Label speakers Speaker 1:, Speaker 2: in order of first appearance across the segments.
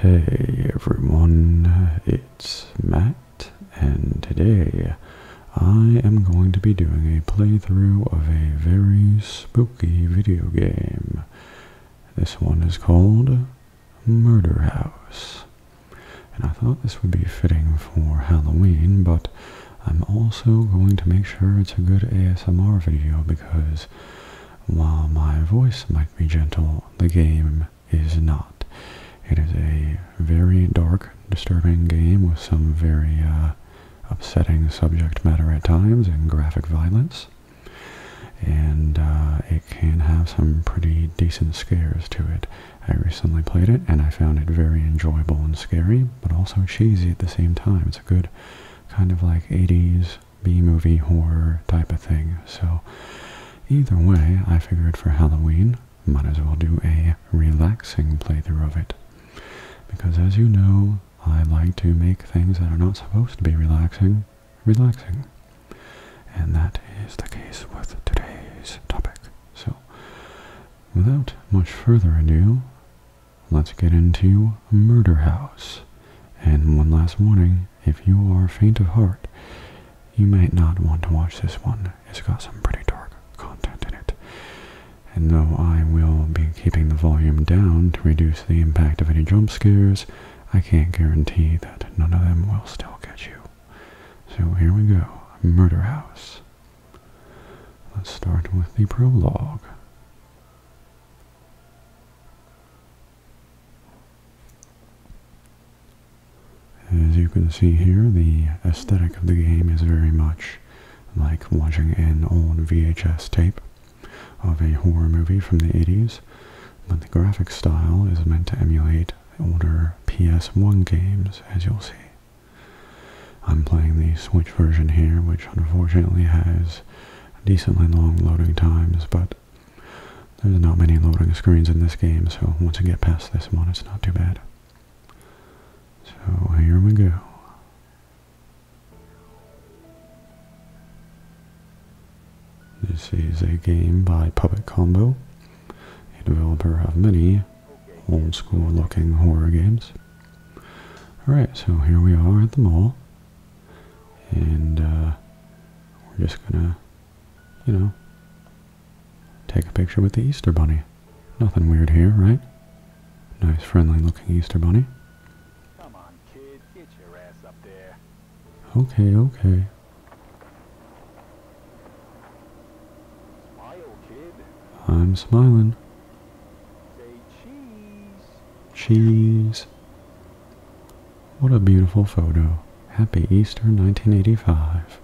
Speaker 1: Hey everyone, it's Matt, and today I am going to be doing a playthrough of a very spooky video game. This one is called Murder House. And I thought this would be fitting for Halloween, but I'm also going to make sure it's a good ASMR video because while my voice might be gentle, the game is not. It is a very dark, disturbing game with some very uh, upsetting subject matter at times and graphic violence. And uh, it can have some pretty decent scares to it. I recently played it and I found it very enjoyable and scary, but also cheesy at the same time. It's a good kind of like 80s B movie horror type of thing. So, either way, I figured for Halloween, might as well do a relaxing playthrough of it. Because as you know, I like to make things that are not supposed to be relaxing, relaxing. And that is the case with today's topic. So, without much further ado, let's get into Murder House. And one last warning, if you are faint of heart, you might not want to watch this one. It's got some pretty dark content in it. And though I will be keeping the volume down to reduce the impact of any jump scares, I can't guarantee that none of them will still get you. So here we go Murder House. Let's start with the prologue. As you can see here, the aesthetic of the game is very much like watching an old VHS tape of a horror movie from the 80s, but the graphic style is meant to emulate older PS1 games, as you'll see. I'm playing the Switch version here, which unfortunately has decently long loading times, but there's not many loading screens in this game, so once you get past this one, it's not too bad. So here we go. This is a game by Public Combo, a developer of many old school looking horror games. Alright, so here we are at the mall and uh, we're just gonna, you know, take a picture with the Easter Bunny. Nothing weird here, right? Nice, friendly-looking Easter Bunny. Come on, kid, get your ass up there. Okay, okay. I'm smiling. Say cheese. Cheese. What a beautiful photo. Happy Easter 1985.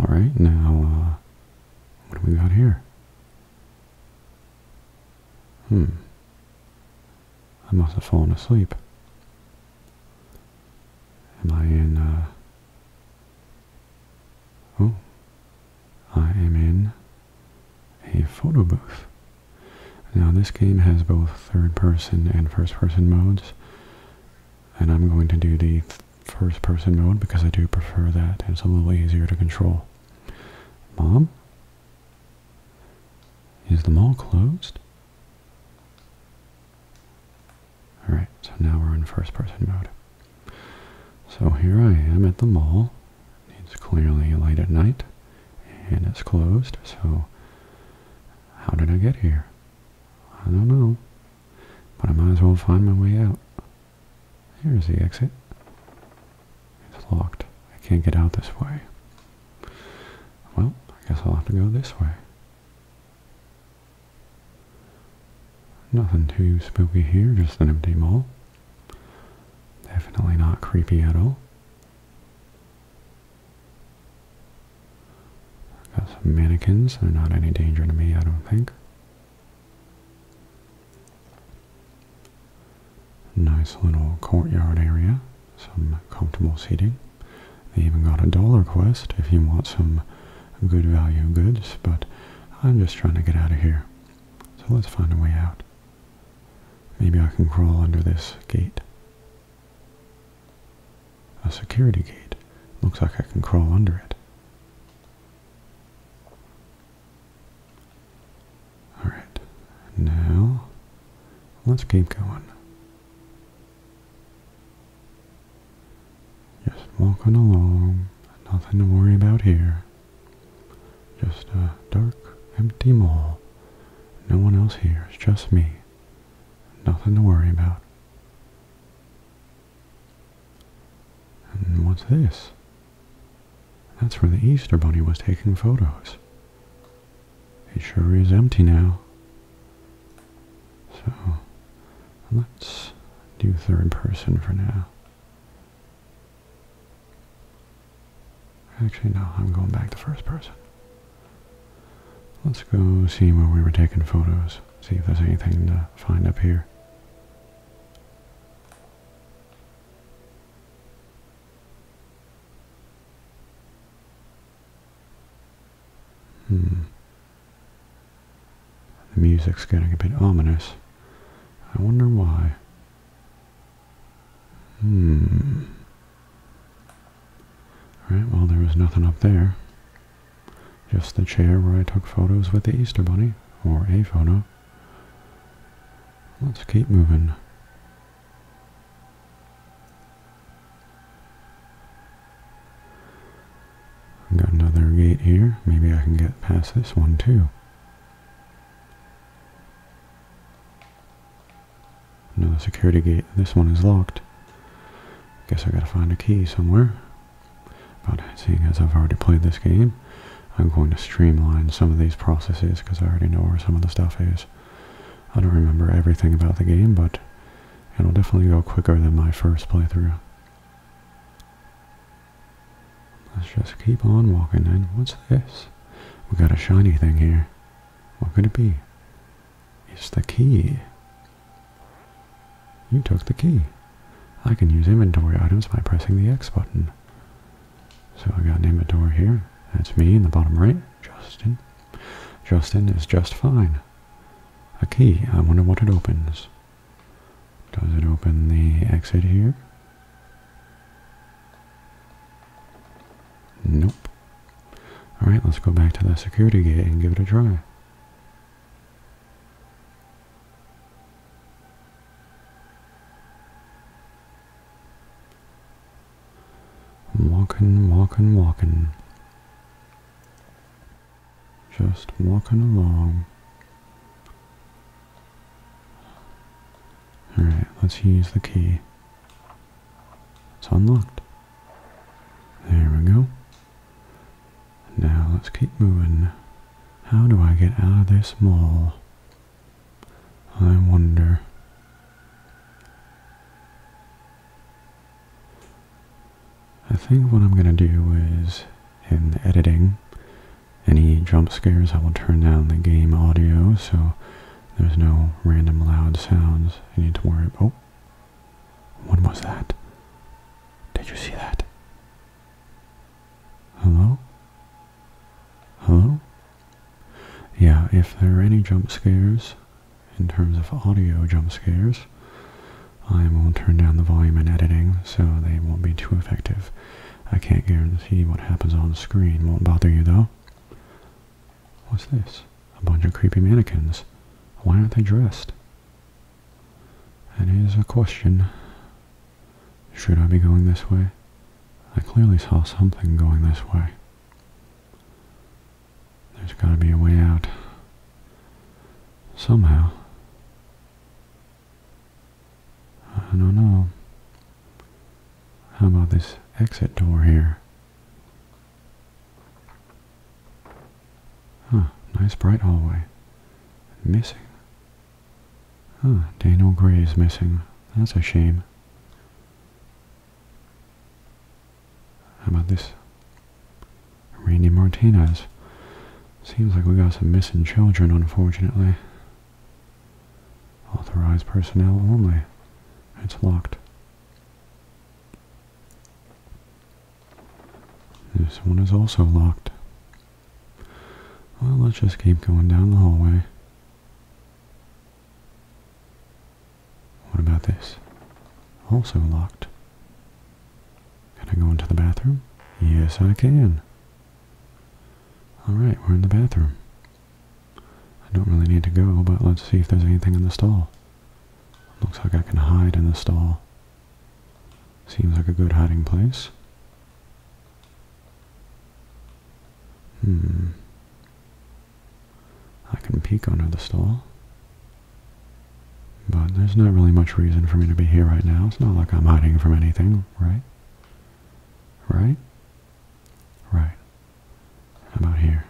Speaker 1: Alright, now, uh, what do we got here? Hmm. I must have fallen asleep. Am I in, uh... Oh, I am in a photo booth. Now this game has both third person and first person modes and I'm going to do the first person mode because I do prefer that and it's a little easier to control. Mom? Is the mall closed? Alright, so now we're in first person mode. So here I am at the mall it's clearly late at night and it's closed, so how did I get here? I don't know, but I might as well find my way out. Here's the exit. It's locked. I can't get out this way. Well, I guess I'll have to go this way. Nothing too spooky here, just an empty mall. Definitely not creepy at all. got some mannequins. They're not any danger to me, I don't think. Nice little courtyard area. Some comfortable seating. They even got a dollar quest if you want some good value goods, but I'm just trying to get out of here. So let's find a way out. Maybe I can crawl under this gate. A security gate. Looks like I can crawl under it. Alright, now let's keep going. Just walking along, nothing to worry about here. Just a dark, empty mall. No one else here. It's just me. Nothing to worry about. And what's this? That's where the Easter Bunny was taking photos. It sure is empty now. So, let's do third person for now. Actually, no, I'm going back to first person. Let's go see where we were taking photos, see if there's anything to find up here. Hmm. The music's getting a bit ominous. I wonder why. Hmm. Alright, well there was nothing up there. Just the chair where I took photos with the Easter Bunny, or a photo. Let's keep moving. I've got another gate here. Maybe I can get past this one too. No security gate. This one is locked. Guess I gotta find a key somewhere. But seeing as I've already played this game, I'm going to streamline some of these processes because I already know where some of the stuff is. I don't remember everything about the game, but it'll definitely go quicker than my first playthrough. Let's just keep on walking then. What's this? We got a shiny thing here. What could it be? It's the key. You took the key. I can use inventory items by pressing the X button. So I got inventory here. That's me in the bottom right, Justin. Justin is just fine. A key. I wonder what it opens. Does it open the exit here? Nope. Alright, let's go back to the security gate and give it a try. Walking, walking, walking. Just walking along. Alright, let's use the key. It's unlocked. There we go. Now let's keep moving. How do I get out of this mall? I wonder. I think what I'm going to do is, in editing, any jump scares, I will turn down the game audio so there's no random loud sounds you need to worry about. Oh, what was that? Did you see that? Hello? Hello? Yeah, if there are any jump scares, in terms of audio jump scares, I will turn down the volume in editing so they won't be too effective. I can't guarantee what happens on the screen. Won't bother you though. What's this? A bunch of creepy mannequins. Why aren't they dressed? That is a question. Should I be going this way? I clearly saw something going this way. There's gotta be a way out. Somehow. I don't know. How about this exit door here? Huh, nice bright hallway. Missing. Huh, Daniel Gray is missing. That's a shame. How about this? Randy Martinez. Seems like we got some missing children, unfortunately. Authorized personnel only. It's locked. This one is also locked. Well, let's just keep going down the hallway. What about this? Also locked. Can I go into the bathroom? Yes, I can. Alright, we're in the bathroom. I don't really need to go, but let's see if there's anything in the stall. Looks like I can hide in the stall. Seems like a good hiding place. Hmm. I can peek under the stall. But there's not really much reason for me to be here right now. It's not like I'm hiding from anything, right? Right? Right. How about here?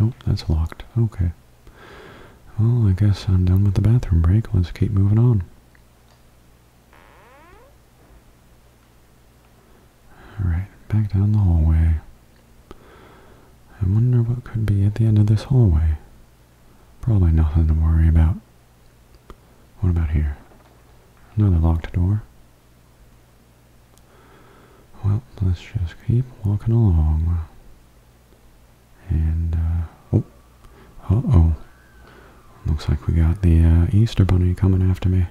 Speaker 1: Nope, that's locked. Okay. Well, I guess I'm done with the bathroom break. Let's keep moving on. Alright, back down the hallway. I wonder what could be at the end of this hallway. Probably nothing to worry about. What about here? Another locked door. Well, let's just keep walking along. And, uh, oh, oh Looks like we got the uh, Easter Bunny coming after me.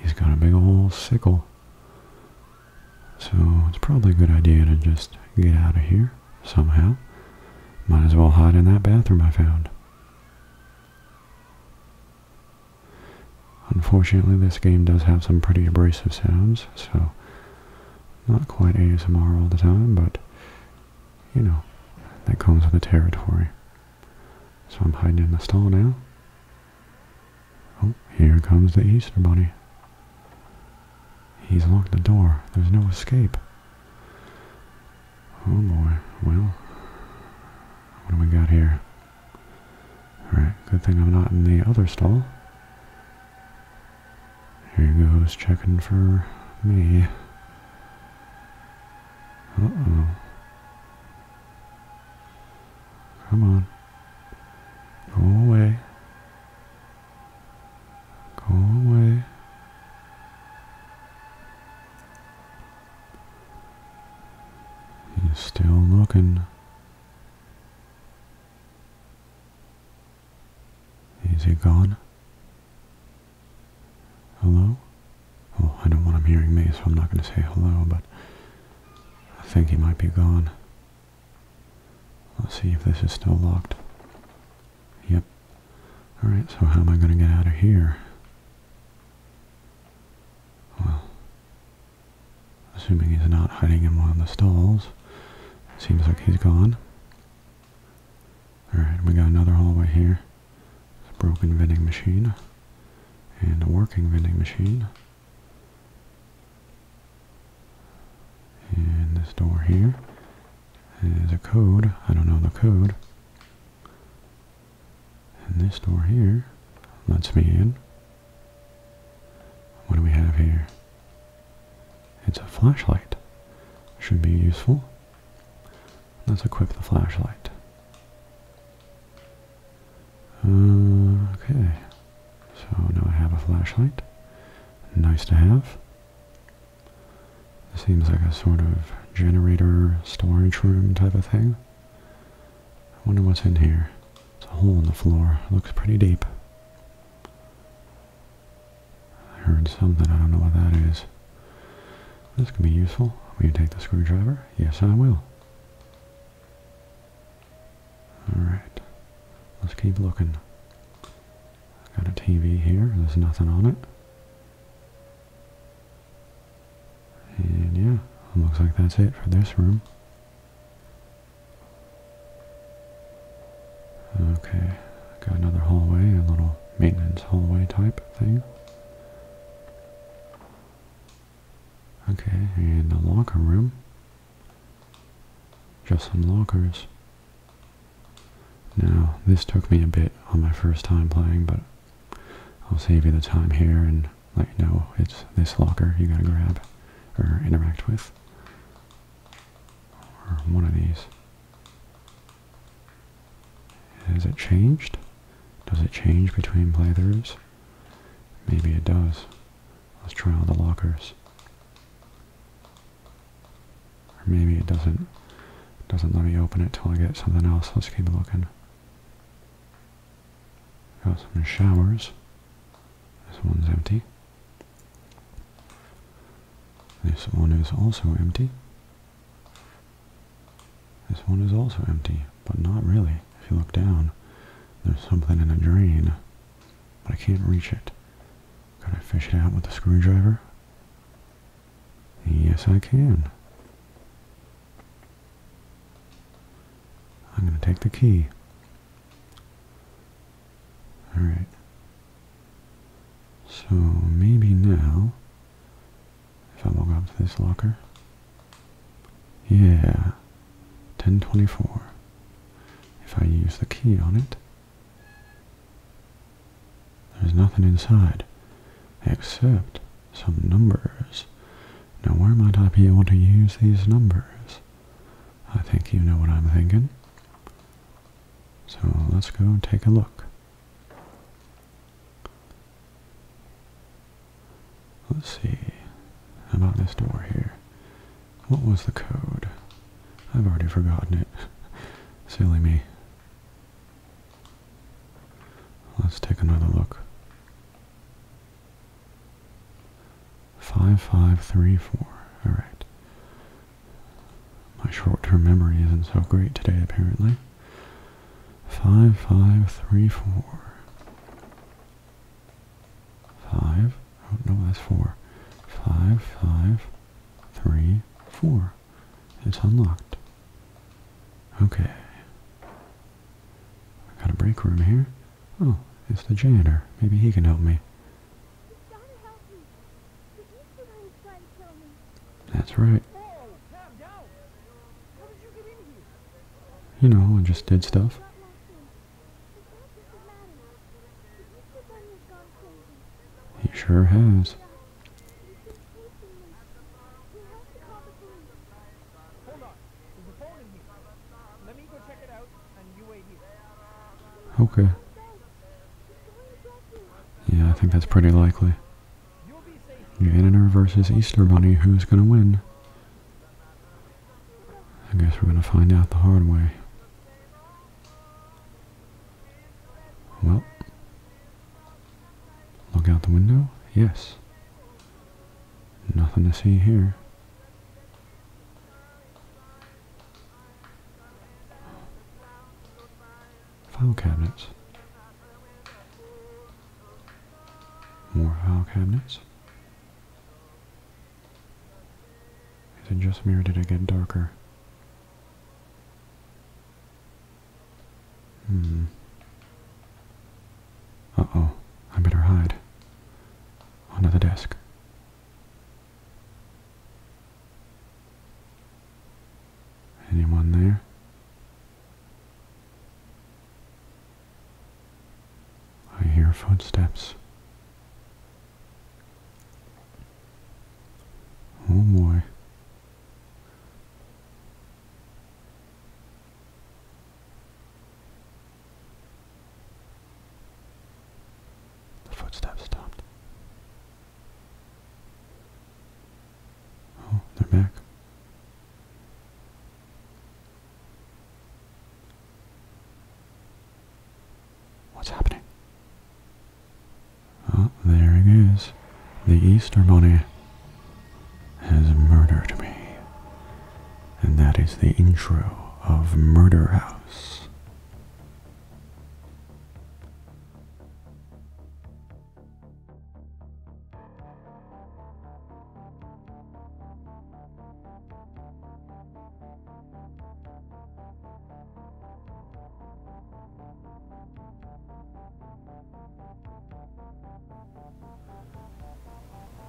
Speaker 1: He's got a big old sickle. So it's probably a good idea to just get out of here somehow. Might as well hide in that bathroom I found. Unfortunately, this game does have some pretty abrasive sounds, so not quite ASMR all the time, but you know, that comes with the territory. So I'm hiding in the stall now. Oh, here comes the Easter Bunny. He's locked the door. There's no escape. Oh boy, well, what do we got here? Alright, good thing I'm not in the other stall. Here goes checking for me. Uh-oh. Come on. Go away. Go away. He's still looking. Is he gone? Hello? Well, I don't want him hearing me, so I'm not going to say hello, but I think he might be gone. Let's see if this is still locked. Yep. Alright, so how am I going to get out of here? Well, assuming he's not hiding in one of the stalls, seems like he's gone. Alright, we got another hallway here. a broken vending machine. And a working vending machine. And this door here is a code. I don't know the code. And this door here lets me in. What do we have here? It's a flashlight. Should be useful. Let's equip the flashlight. Uh, okay. So now I have a flashlight. Nice to have. seems like a sort of generator storage room type of thing. I wonder what's in here. It's a hole in the floor. looks pretty deep. I heard something. I don't know what that is. This could be useful. Will you take the screwdriver? Yes, I will. Alright. Let's keep looking. Got a TV here. There's nothing on it. And yeah, looks like that's it for this room. Okay, got another hallway, a little maintenance hallway type thing. Okay, and a locker room. Just some lockers. Now, this took me a bit on my first time playing, but I'll save you the time here and let you know it's this locker you gotta grab or interact with. Or one of these. Has it changed? Does it change between playthroughs? Maybe it does. Let's try all the lockers. Or maybe it doesn't doesn't let me open it till I get something else. Let's keep looking. Got some showers. This one's empty. This one is also empty. This one is also empty, but not really. If you look down, there's something in a drain, but I can't reach it. Can I fish it out with a screwdriver? Yes, I can. I'm going to take the key. Alright. So maybe now, if I log up to this locker, yeah, 1024. If I use the key on it, there's nothing inside except some numbers. Now where might I be able to use these numbers? I think you know what I'm thinking. So let's go take a look. Let's see. about this door here? What was the code? I've already forgotten it. Silly me. Let's take another look. 5534. Alright. My short term memory isn't so great today, apparently. 5534. 5. Oh, no, that's 4. 5534. It's unlocked. Okay. I got a break room here. Oh, it's the janitor. Maybe he can help me. Help me. That's right. You know, I just did stuff. He sure has. Okay. Yeah, I think that's pretty likely. Janitor versus Easter Bunny, who's gonna win? I guess we're gonna find out the hard way. Well. Look out the window? Yes. Nothing to see here. File cabinets. More file cabinets. Is it just me or did it get darker? Hmm. Uh-oh. I better hide. Under the desk. Anyone there? I hear footsteps. Oh boy. The footsteps stopped. Oh, they're back. What's happening? Oh, there it is. The Easter Bunny has murdered me. And that is the intro of Murder House.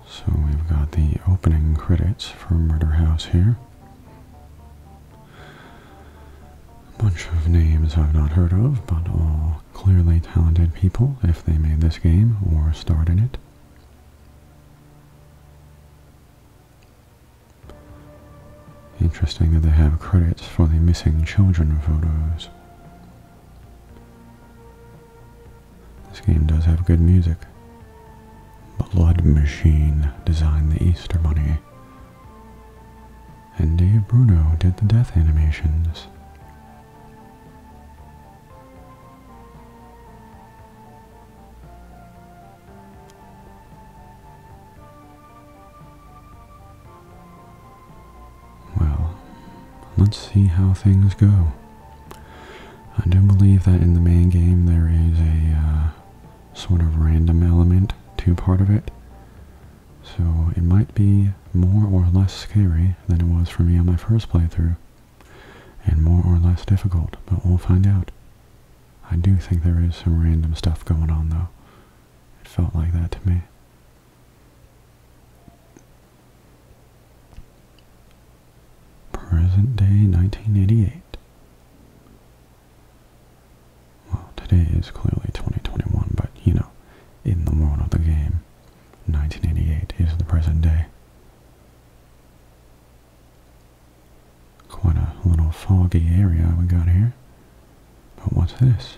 Speaker 1: So we've got the opening credits for Murder House here. A bunch of names I've not heard of, but all clearly talented people if they made this game or starred in it. Interesting that they have credits for the missing children photos. This game does have good music. Blood Machine designed the Easter Bunny. And Dave Bruno did the death animations. Well, let's see how things go. I do believe that in the main game there is a uh, sort of random element to part of it. So it might be more or less scary than it was for me on my first playthrough. And more or less difficult, but we'll find out. I do think there is some random stuff going on though. It felt like that to me. Present day 1988. Well, today is clearly 2021, but you know, in the world of the game, 1988 is the present day. Quite a little foggy area we got here. But what's this?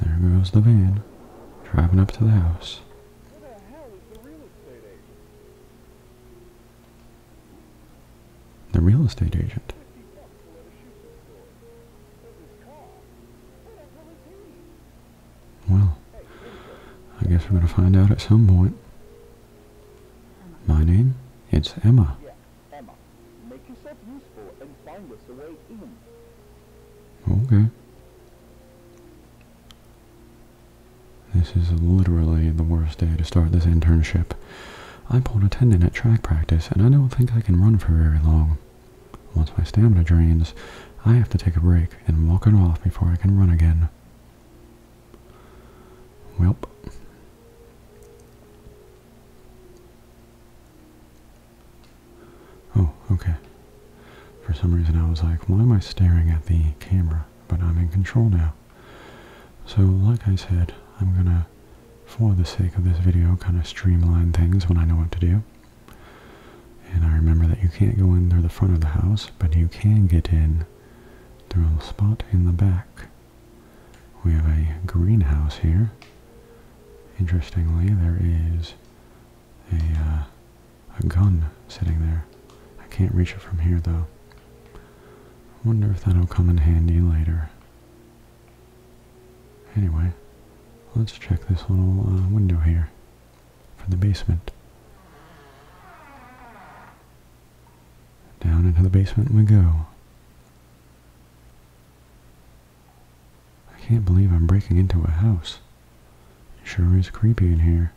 Speaker 1: There goes the van, driving up to the house. the real estate agent? The real estate agent. Well, I guess we're going to find out at some point. My name? It's Emma. Emma, make yourself useful and find us a way in. Okay. This is literally the worst day to start this internship. I pulled a tendon at track practice, and I don't think I can run for very long. Once my stamina drains, I have to take a break and walk it off before I can run again. Welp. Oh, okay. For some reason I was like, why am I staring at the camera? But I'm in control now. So like I said, I'm gonna, for the sake of this video, kind of streamline things when I know what to do. And I remember that you can't go in through the front of the house, but you can get in through a spot in the back. We have a greenhouse here. Interestingly, there is a, uh, a gun sitting there. I can't reach it from here, though. I wonder if that'll come in handy later. Anyway, let's check this little uh, window here for the basement. Down into the basement we go. I can't believe I'm breaking into a house. It sure is creepy in here.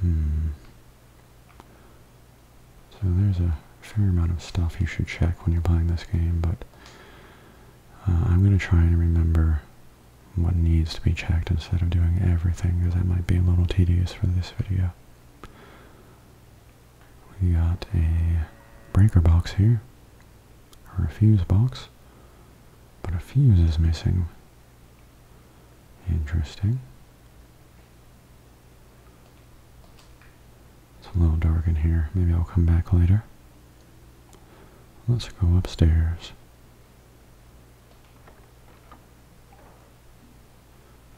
Speaker 1: Hmm. So there's a fair amount of stuff you should check when you're playing this game, but uh, I'm going to try and remember what needs to be checked instead of doing everything, because that might be a little tedious for this video. We got a breaker box here, or a fuse box, but a fuse is missing. Interesting. It's a little dark in here. Maybe I'll come back later. Let's go upstairs.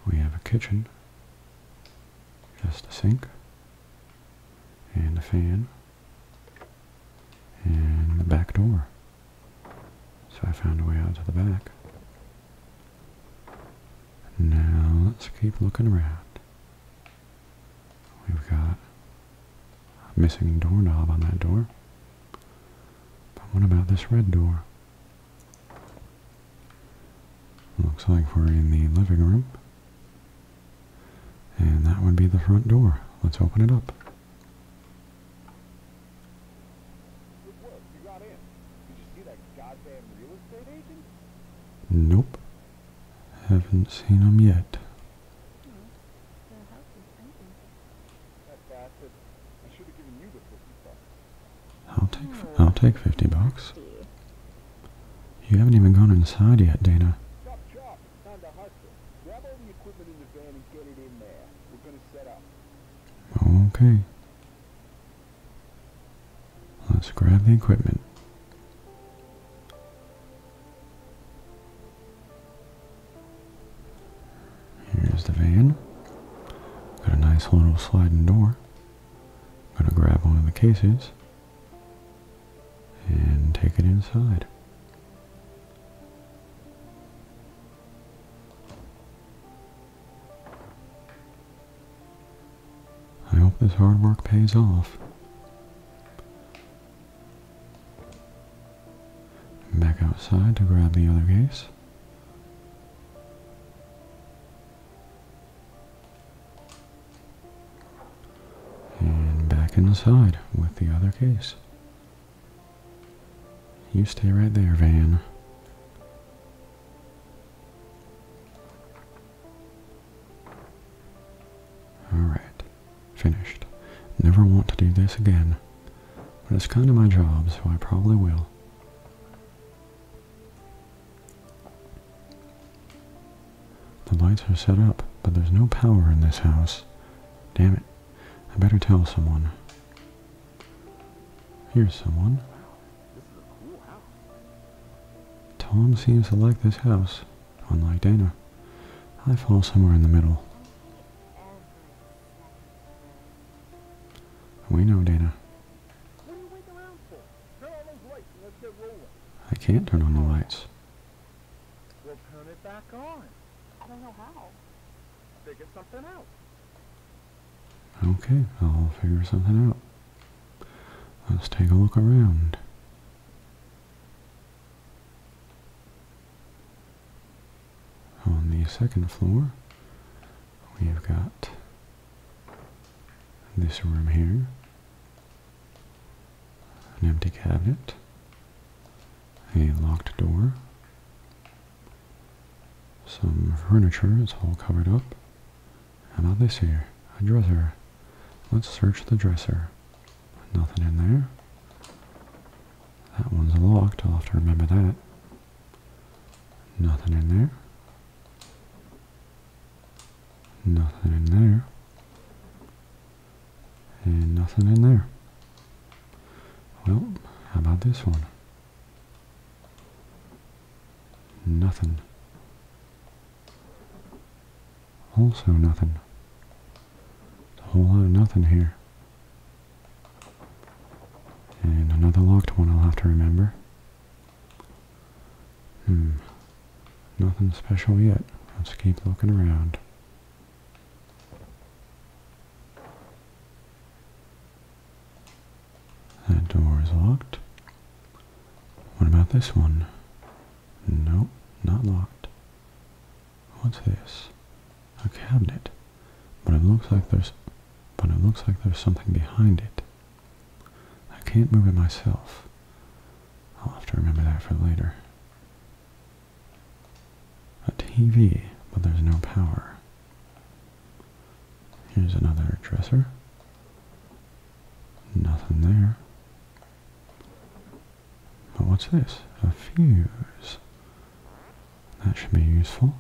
Speaker 1: We have a kitchen. Just the sink and the fan and the back door. So I found a way out to the back. Now let's keep looking around. We've got a missing doorknob on that door. But what about this red door? Looks like we're in the living room. And that would be the front door. Let's open it up. Nope. Haven't seen him yet. I'll take I'll take 50 bucks. Hmm. You haven't even gone inside yet, Dana. Grab all the equipment in the van and get it in there. We're gonna set up. Okay. Let's grab the equipment. Here's the van. Got a nice little sliding door. Gonna grab one of the cases and take it inside. I hope this hard work pays off. Back outside to grab the other case. And back inside with the other case. You stay right there, Van. Alright. Finished. Never want to do this again. But it's kind of my job, so I probably will. The lights are set up, but there's no power in this house. Damn it. I better tell someone. Here's someone. Tom seems to like this house, unlike Dana. I fall somewhere in the middle. We know Dana. I can't turn on the lights.
Speaker 2: We'll turn it back on. I don't know how. Figure something out.
Speaker 1: Okay, I'll figure something out. Let's take a look around. On the second floor, we've got this room here. An empty cabinet. A locked door. Some furniture is all covered up. And about this here? A dresser. Let's search the dresser. Nothing in there. That one's locked. I'll have to remember that. Nothing in there. Nothing in there. And nothing in there. Well, how about this one? Nothing. Also nothing. A whole lot of nothing here. And another locked one I'll have to remember. Hmm. Nothing special yet. Let's keep looking around. That door is locked. What about this one? Nope, not locked. What's this? A cabinet. But it looks like there's but it looks like there's something behind it. I can't move it myself. I'll have to remember that for later. A TV, but there's no power. Here's another dresser. Nothing there. But what's this? A fuse. That should be useful.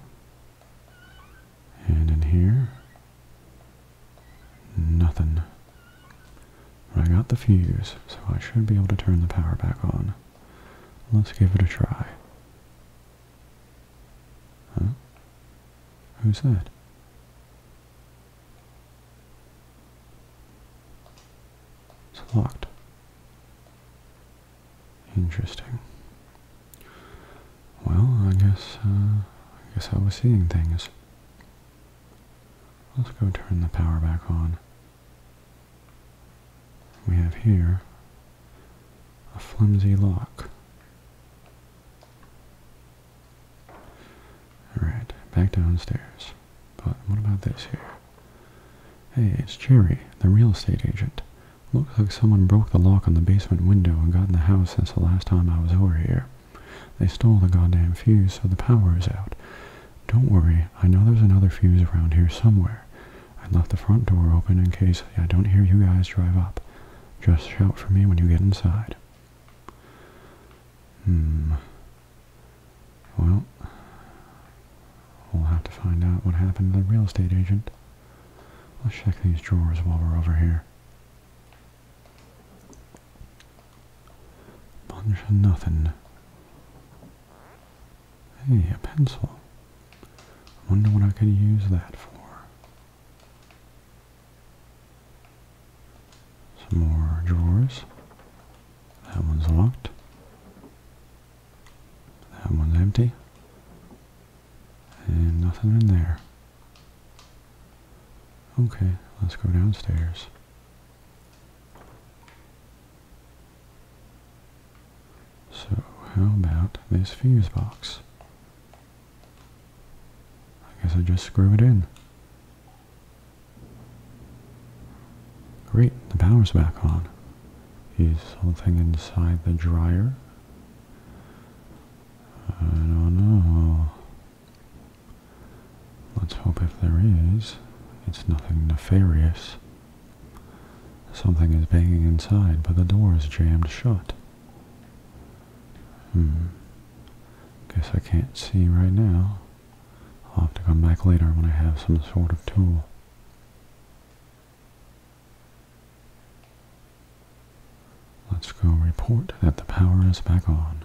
Speaker 1: And in here, Nothing. I got the fuse, so I should be able to turn the power back on. Let's give it a try. Who's that? It's locked. Interesting. Well, I guess, uh, I guess I was seeing things. Let's go turn the power back on. We have here a flimsy lock. Alright, back downstairs. But what about this here? Hey, it's Jerry, the real estate agent. Looks like someone broke the lock on the basement window and got in the house since the last time I was over here. They stole the goddamn fuse, so the power is out. Don't worry, I know there's another fuse around here somewhere. I left the front door open in case I don't hear you guys drive up. Just shout for me when you get inside. Hmm. Well, we'll have to find out what happened to the real estate agent. Let's check these drawers while we're over here. Bunch of nothing. Hey, a pencil. Wonder what I can use that for. Some more drawers. That one's locked. That one's empty. And nothing in there. Okay, let's go downstairs. So, how about this fuse box? I guess I just screw it in. Great, the power's back on. Is something inside the dryer. I don't know. Let's hope if there is, it's nothing nefarious. Something is banging inside, but the door is jammed shut. Hmm. Guess I can't see right now. I'll have to come back later when I have some sort of tool. Let's go report that the power is back on.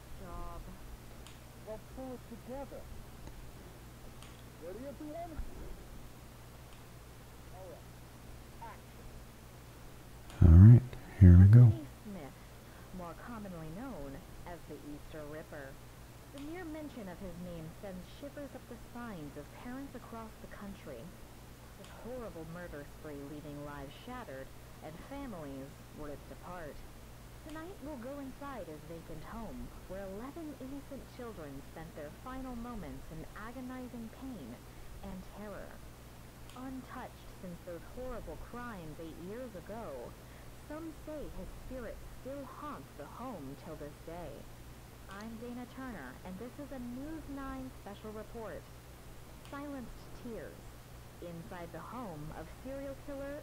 Speaker 2: job. We'll pull it together. Ready, everyone? All right.
Speaker 1: Action. All right, here we go.
Speaker 2: Smith, more commonly known as the Easter Ripper. The mere mention of his name sends shivers up the spines of parents across the country. This horrible murder spree leaving lives shattered and families ripped depart Tonight we'll go inside his vacant home, where 11 innocent children spent their final moments in agonizing pain and terror. Untouched since those horrible crimes eight years ago, some say his spirit still haunts the home till this day. I'm Dana Turner, and this is a News 9 special report. Silenced Tears, inside the home of serial killer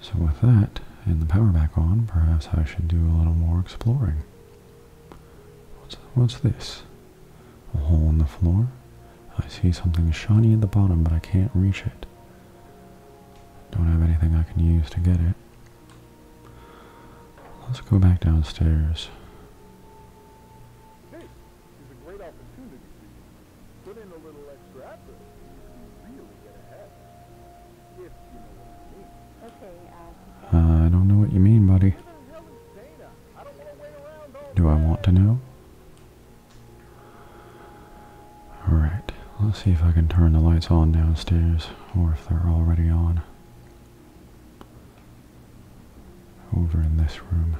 Speaker 1: So with that, and the power back on, perhaps I should do a little more exploring. What's, what's this? A hole in the floor? I see something shiny at the bottom, but I can't reach it. Don't have anything I can use to get it. Let's go back downstairs. Hey, Put in a little extra effort, and you really get ahead. If I uh, uh, I don't know what you mean, buddy. Do I want to know? Alright, let's see if I can turn the lights on downstairs, or if they're already on. Over in this room.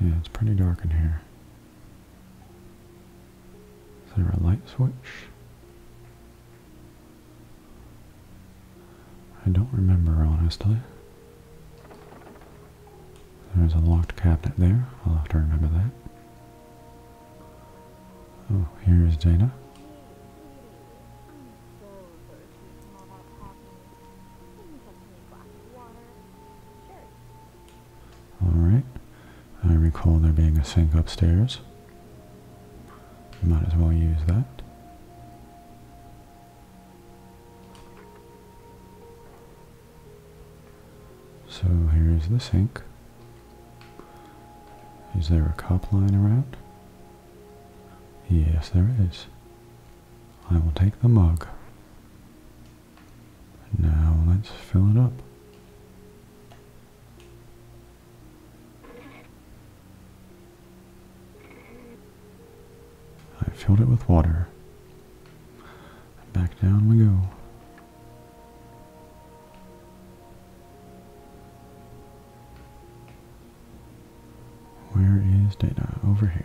Speaker 1: Yeah, it's pretty dark in here. Is there a light switch? I don't remember, honestly. There's a locked cabinet there. I'll have to remember that. Oh, here is Dana. Alright. I recall there being a sink upstairs. Might as well use that. So here is the sink. Is there a cup line around? Yes, there is. I will take the mug. Now let's fill it up. I filled it with water. Back down we go. Where is data? Over here.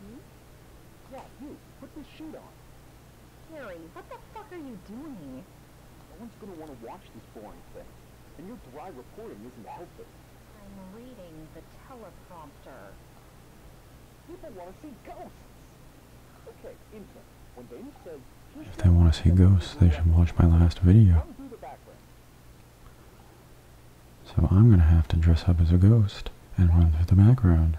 Speaker 2: Hmm? Yeah, you. Put this sheet on. Gary, what the fuck are you doing? No one's gonna want to watch this boring thing. And your dry reporting isn't helping. I'm reading the teleprompter. People want to see ghosts.
Speaker 1: Okay, intern. When Dave says... If they want to see ghosts, they should watch my last video. So I'm going to have to dress up as a ghost and run through the background.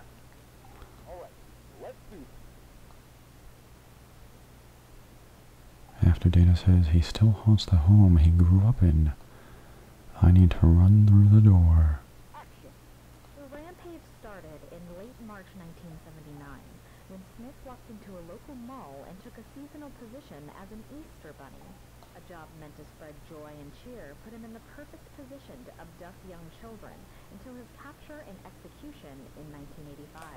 Speaker 1: After Data says he still haunts the home he grew up in, I need to run through the door. The
Speaker 2: rampage started in late March 1979 when Smith walked into a local mall and took a seasonal position as an Easter bunny. A job meant to spread joy and cheer put him in the perfect position to abduct young children until his capture and execution in 1985.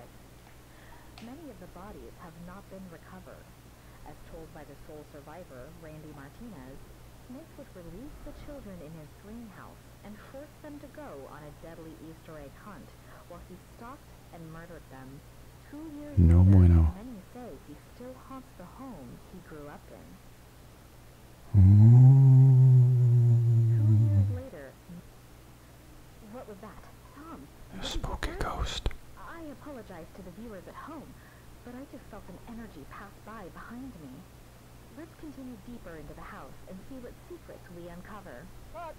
Speaker 2: Many of the bodies have not been recovered. As told by the sole survivor, Randy Martinez, Smith would release the children in his greenhouse and force them to go on a deadly Easter egg hunt while he stalked and murdered them. Two years no later, many say he still haunts the home he grew up in. Mm. Later, what was that? A spooky ghost. I apologize to the viewers at home, but I just felt an energy pass by behind me. Let's continue deeper into the house and see what secrets we uncover. All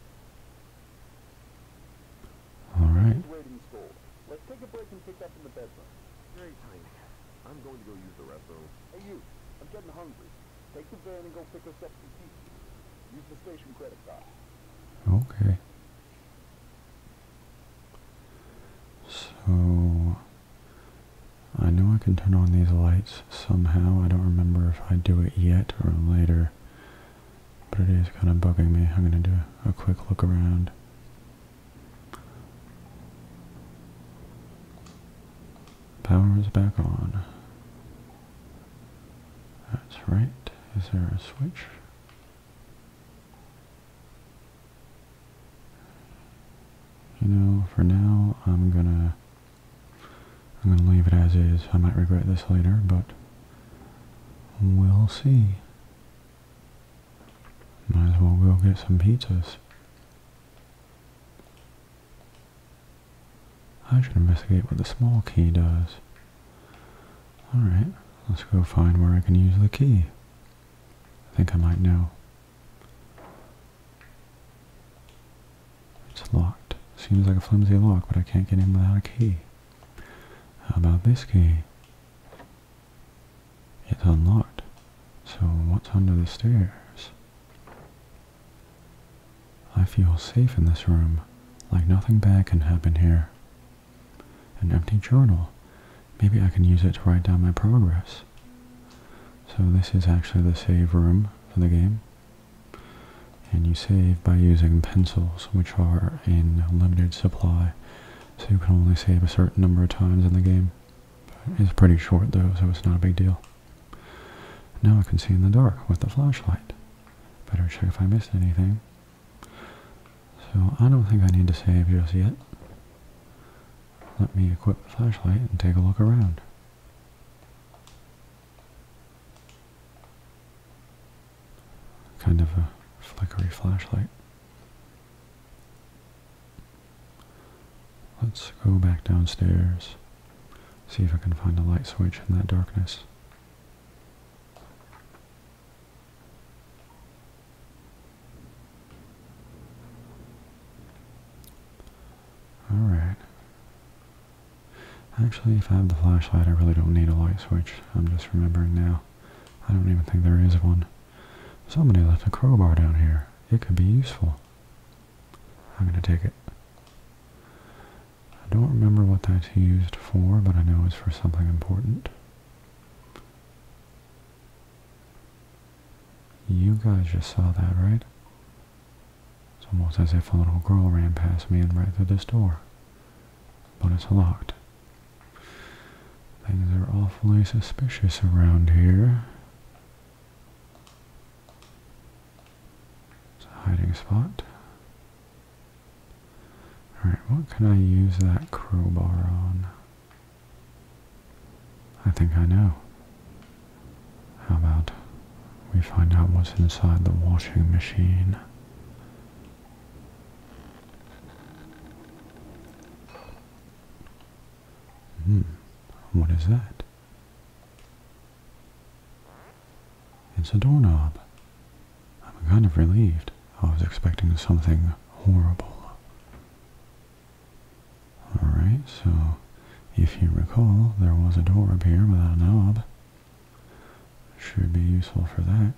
Speaker 2: I'm going to go use the restroom. Hey, you. I'm getting hungry. Take the van and go pick us up some pizza.
Speaker 1: Use the station credit card. Okay. So... I know I can turn on these lights somehow. I don't remember if I do it yet or later. But it is kind of bugging me. I'm going to do a quick look around. Power is back on. That's right. Is there a switch? You know, for now, I'm gonna I'm gonna leave it as is. I might regret this later, but we'll see. Might as well go get some pizzas. I should investigate what the small key does. Alright, let's go find where I can use the key. I think I might know. It's locked. Seems like a flimsy lock, but I can't get in without a key. How about this key? It's unlocked. So what's under the stairs? I feel safe in this room, like nothing bad can happen here. An empty journal. Maybe I can use it to write down my progress. So this is actually the save room for the game. And you save by using pencils, which are in limited supply, so you can only save a certain number of times in the game. It's pretty short though, so it's not a big deal. Now I can see in the dark with the flashlight. Better check if I missed anything. So I don't think I need to save just yet. Let me equip the flashlight and take a look around. Kind of a flickery flashlight. Let's go back downstairs, see if I can find a light switch in that darkness. Alright. Actually, if I have the flashlight, I really don't need a light switch. I'm just remembering now. I don't even think there is one. Somebody left a crowbar down here. It could be useful. I'm going to take it. I don't remember what that's used for, but I know it's for something important. You guys just saw that, right? It's almost as if a little girl ran past me and right through this door. But it's locked. Things are awfully suspicious around here. It's a hiding spot. Alright, what can I use that crowbar on? I think I know. How about we find out what's inside the washing machine? Hmm, what is that? It's a doorknob. I'm kind of relieved. I was expecting something horrible. Alright, so if you recall, there was a door up here without a knob. Should be useful for that.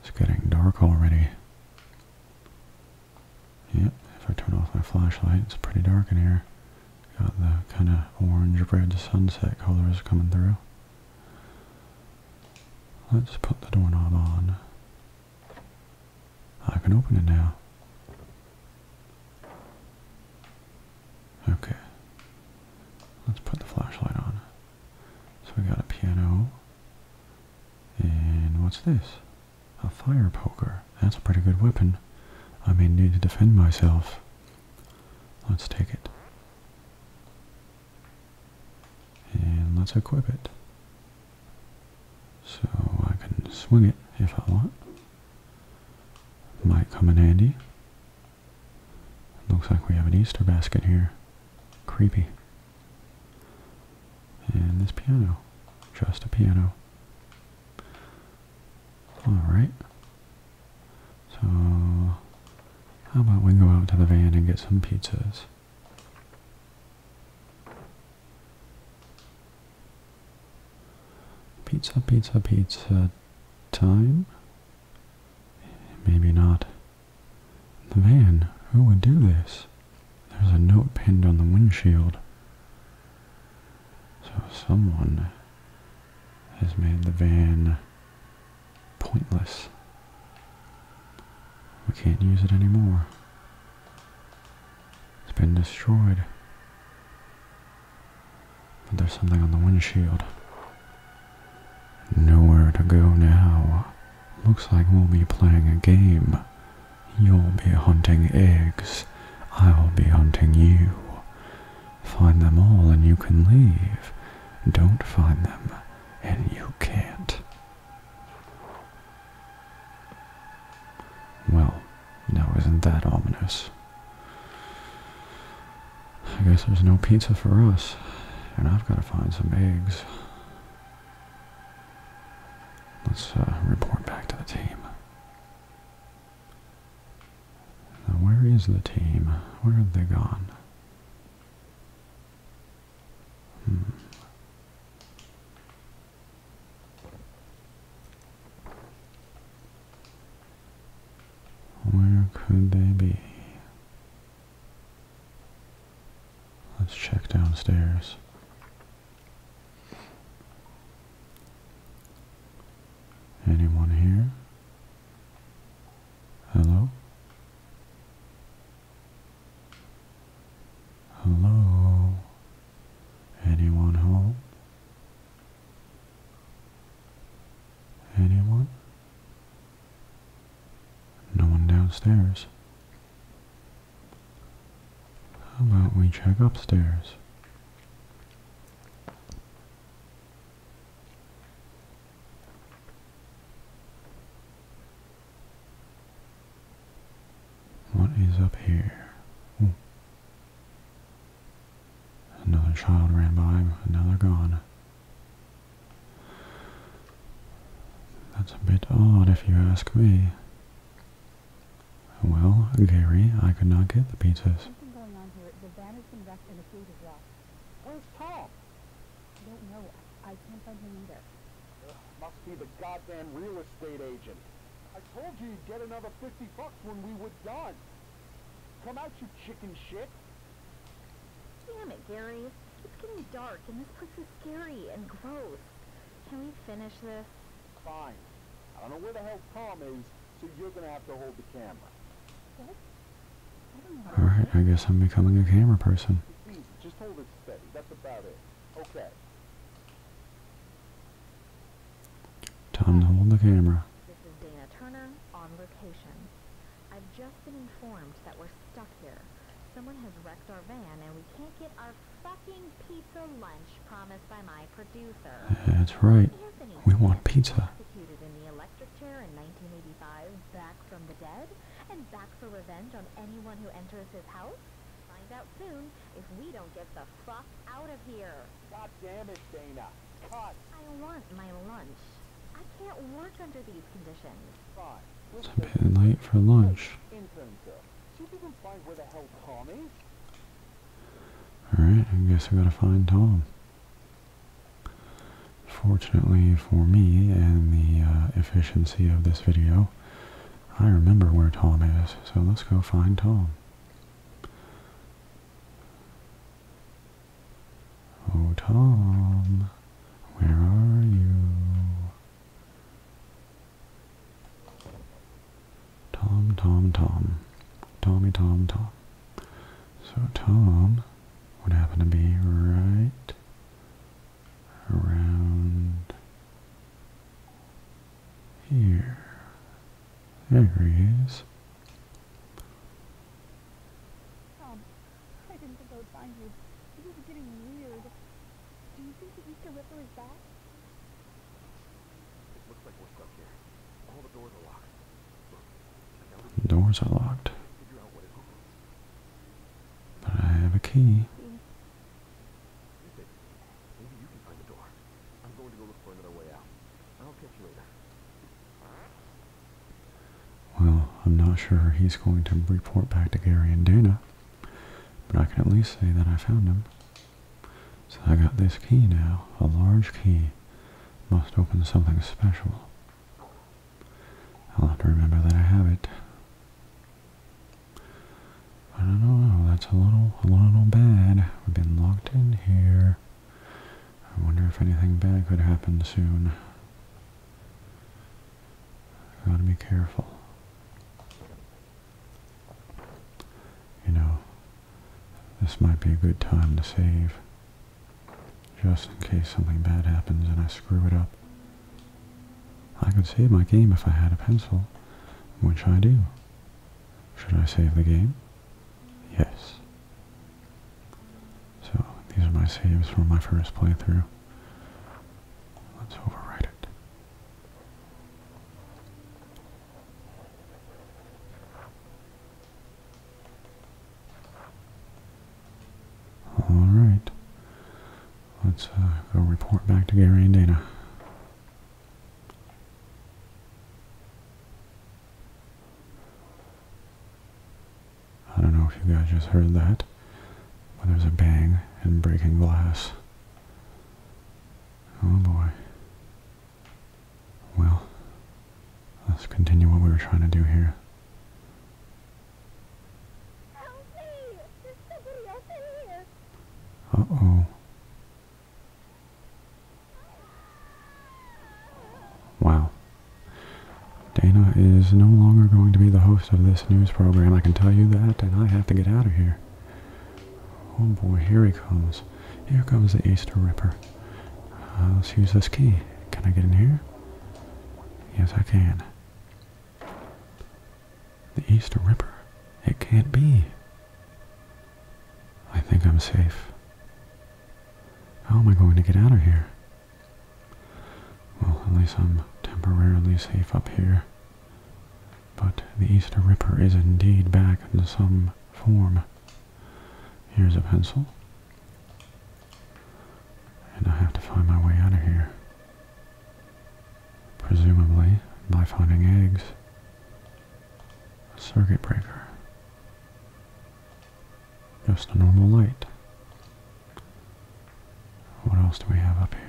Speaker 1: It's getting dark already. Yep, if I turn off my flashlight, it's pretty dark in here. Got the kind of orange red sunset colors coming through. Let's put the doorknob on. I can open it now. Okay. Let's put the flashlight on. So we got a piano. And what's this? A fire poker. That's a pretty good weapon. I may need to defend myself. Let's take it. And let's equip it. So I can swing it if I want. Might come in handy. Looks like we have an Easter basket here. Creepy. And this piano. Just a piano. Alright. So, how about we go out to the van and get some pizzas? Pizza, pizza, pizza time? Maybe not. The van. Who would do this? There's a note pinned on the windshield. So someone has made the van pointless. We can't use it anymore. It's been destroyed. But there's something on the windshield. Nowhere to go now. Looks like we'll be playing a game You'll be hunting eggs. I'll be hunting you. Find them all and you can leave. Don't find them and you can't. Well, now isn't that ominous? I guess there's no pizza for us, and I've got to find some eggs. Let's uh, report back to the team. Now where is the team? Where are they gone? Hmm. Where could they be? Let's check downstairs. Anyone here? Hello? Hello? Anyone home? Anyone? No one downstairs. How about we check upstairs? What is up here? Another child ran by, now they're gone. That's a bit odd if you ask me. Well, Gary, I could not get the pizzas. Something going on here. The van has been wrecked and the food is
Speaker 2: lost. Where's Paul? I don't know. I can't find him either. Uh, must be the goddamn real estate agent. I told you you'd get another 50 bucks when we were done. Come out, you chicken shit. Damn it, Gary. It's getting dark and this place is scary and gross. Can we finish this? I don't know where the hell Tom is, so you're gonna have to hold the camera.
Speaker 1: Alright, I guess I'm becoming a camera person. just hold it steady. That's about it. Okay. Time to hold the camera.
Speaker 2: This is Dana Turner on location. I've just been informed that we're stuck here. Someone has wrecked our van and we can't get our that's right. we want pizza. and back for revenge on anyone who enters his house. Find out soon if we don't get the fuck out of here. God damn it, Dana. I want my lunch. I can't work under these conditions.
Speaker 1: Fine. It's a bit late for lunch. She didn't find where the hell Tom is. Alright, I guess we gotta find Tom. Fortunately for me and the uh, efficiency of this video, I remember where Tom is, so let's go find Tom. Oh, Tom, where are you? Tom, Tom, Tom. Tommy, Tom, Tom. So Tom would happen to be right around here. There he is.
Speaker 2: Tom, I didn't think I would find you. This is getting weird. Do you think the Easter Ripper is back? All the doors are locked.
Speaker 1: The doors are locked. But I have a key. Maybe
Speaker 2: you can find the door. I'm going to go look for another way out. I'll catch you later.
Speaker 1: Well, I'm not sure he's going to report back to Gary and Dana, but I can at least say that I found him. So I got this key now, a large key. Must open something special. I'll have to remember that I have it. I don't know, oh, that's a little, a little bad. We've been locked in here. I wonder if anything bad could happen soon. Gotta be careful you know, this might be a good time to save just in case something bad happens and I screw it up. I could save my game if I had a pencil, which I do. Should I save the game? Yes. So, these are my saves from my first playthrough. Let's overwrite it. All right. Let's uh, go report back to Gary and Dana. I don't know if you guys just heard that, but there's a bang and breaking glass. Oh boy. Well, let's continue what we were trying to do here. Uh oh. Wow. Dana is no longer going to be the host of this news program, I can tell you that, and I have to get out of here. Oh boy, here he comes. Here comes the Easter Ripper. Uh, let's use this key. Can I get in here? Yes, I can. The Easter Ripper. It can't be. I think I'm safe. How am I going to get out of here? Well, at least I'm temporarily safe up here. But the Easter Ripper is indeed back in some form. Here's a pencil. And I have to find my way out of here. Presumably by finding eggs. circuit breaker. Just a normal light. What else do we have up here?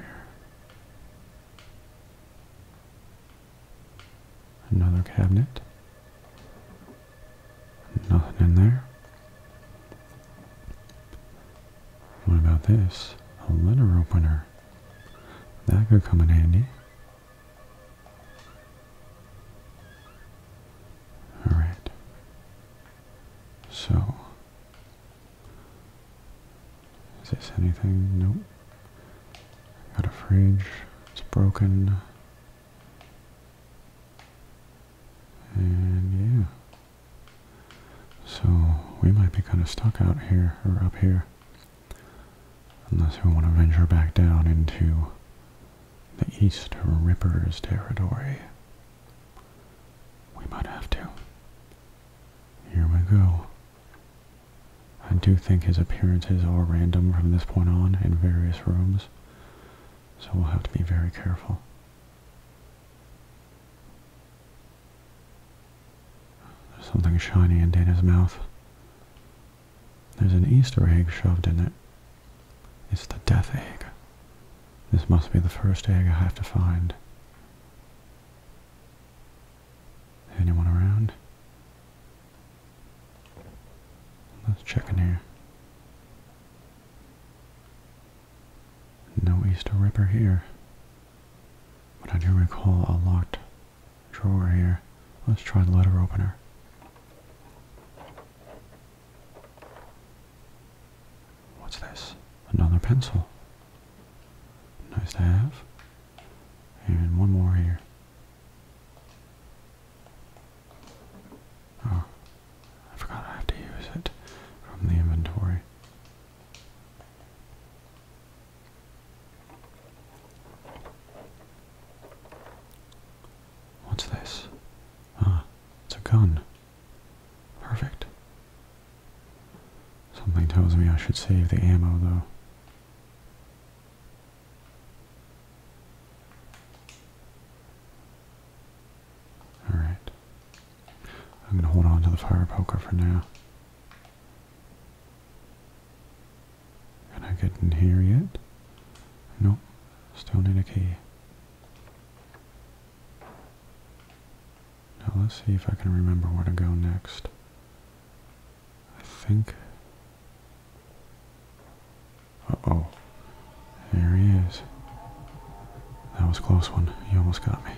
Speaker 1: Another cabinet. Nothing in there. What about this? A letter opener. That could come in handy. Alright. So. Is this anything? Nope. Got a fridge. It's broken. And yeah. So we might be kind of stuck out here or up here. Unless we want to venture back down into the East Ripper's territory. We might have to. Here we go. I do think his appearances are random from this point on in various rooms, so we'll have to be very careful. There's something shiny in Dana's mouth. There's an Easter egg shoved in it. It's the death egg. This must be the first egg I have to find. Anyone around? Let's check in here. No Easter Ripper here. But I do recall a locked drawer here. Let's try the letter opener. What's this? Another pencil. Nice to have. And one more here. Oh, I forgot I have to use it from the inventory. What's this? Ah, it's a gun. Perfect. Something tells me I should save the ammo though. Alright. I'm going to hold on to the fire poker for now. Can I get in here yet? Nope. Still need a key. Now let's see if I can remember where to go next. I think. Uh oh. There he is. That was close one. You almost got me.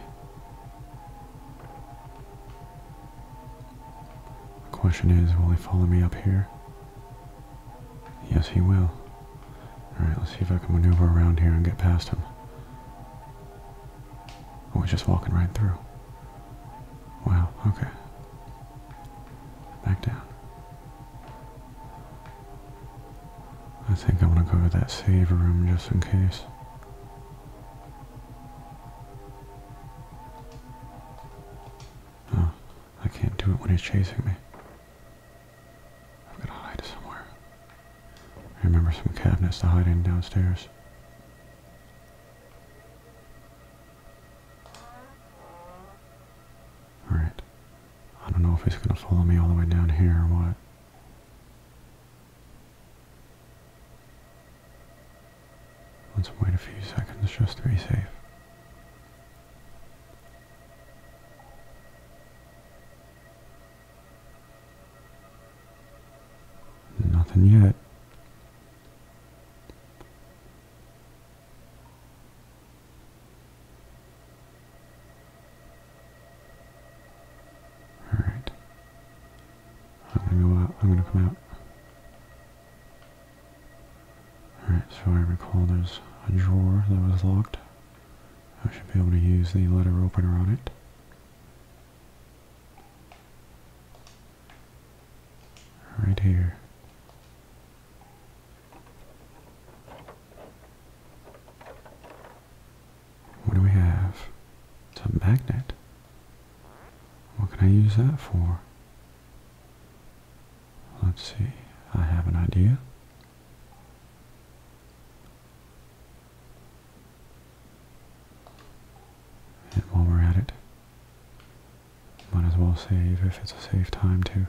Speaker 1: The question is, will he follow me up here? Yes, he will. Alright, let's see if I can maneuver around here and get past him. I was just walking right through. Wow, okay. Back down. I think I want to go to that save room just in case. Oh, I can't do it when he's chasing me. I've got to hide somewhere. I remember some cabinets to hide in downstairs. Alright. I don't know if he's going to follow me all the way down here or what. Let's wait a few seconds just to be safe. Nothing yet. All right. I'm gonna go out. I'm gonna come out. All right. So I recall there's a drawer that was locked. I should be able to use the letter opener on it. Right here. What do we have? It's a magnet. What can I use that for? Let's see. I have an idea. And while we're at it, might as well save if it's a safe time too.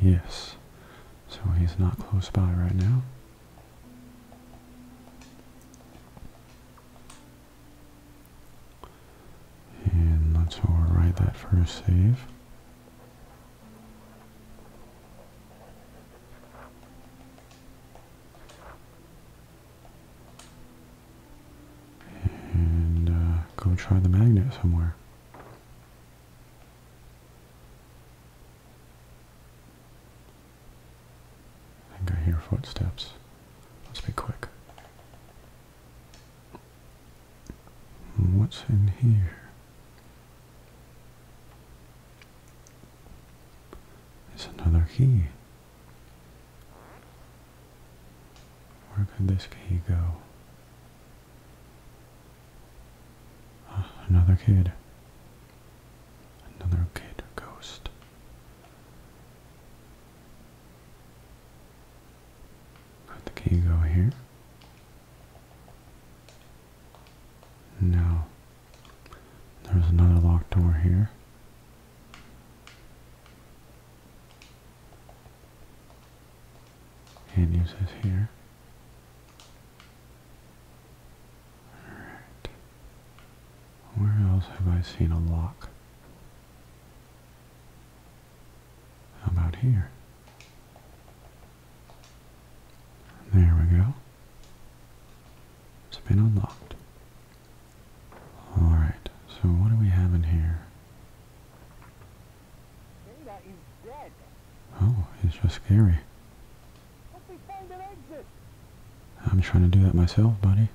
Speaker 1: Yes, so he's not close by right now. And let's overwrite that first save. And uh, go try the magnet somewhere. I think I hear footsteps. Let's be quick. What's in here? There's another key. Where could this key go? Ah, another kid. Another kid ghost. Could the key go here? No. There's another locked door here. Hand uses here. Alright. Where else have I seen a lock? How about here? There we go. It's been unlocked. Alright, so what do we have in here? Oh, it's just scary. I'm trying to do that myself, buddy.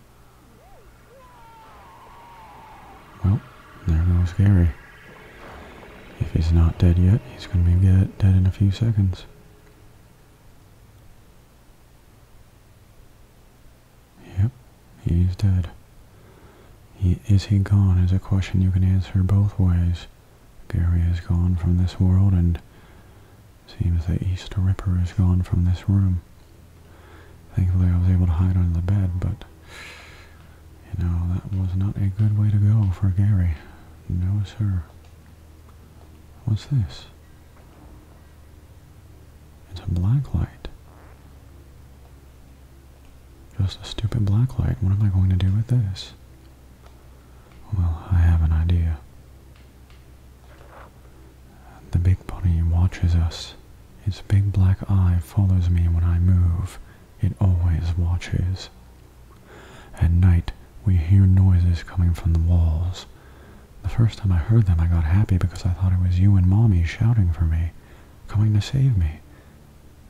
Speaker 1: Well, there goes Gary. If he's not dead yet, he's going to be dead in a few seconds. Yep, he's dead. is he gone is a question you can answer both ways. Gary is gone from this world and seems the Easter Ripper is gone from this room. Thankfully I was able to hide under the bed, but you know, that was not a good way to go for Gary. No, sir. What's this? It's a black light. Just a stupid black light. What am I going to do with this? Well, I have an idea. The big bunny watches us. His big black eye follows me when I move. It always watches. At night, we hear noises coming from the walls. The first time I heard them, I got happy because I thought it was you and Mommy shouting for me, coming to save me.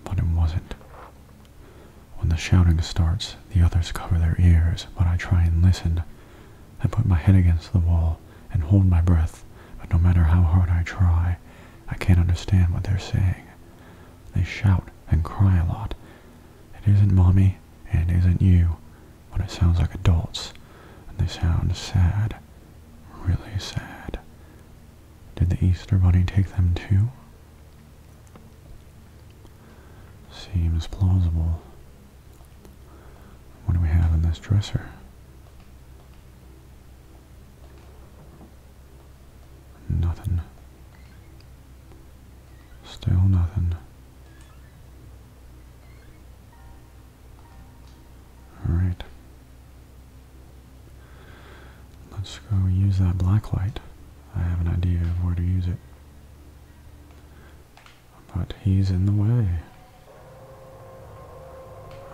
Speaker 1: But it wasn't. When the shouting starts, the others cover their ears, but I try and listen. I put my head against the wall and hold my breath, but no matter how hard I try, I can't understand what they're saying. They shout and cry a lot, it isn't mommy, and it isn't you, but it sounds like adults, and they sound sad, really sad. Did the Easter Bunny take them too? Seems plausible. What do we have in this dresser? Nothing. Still nothing. Alright. Let's go use that black light. I have an idea of where to use it. But he's in the way.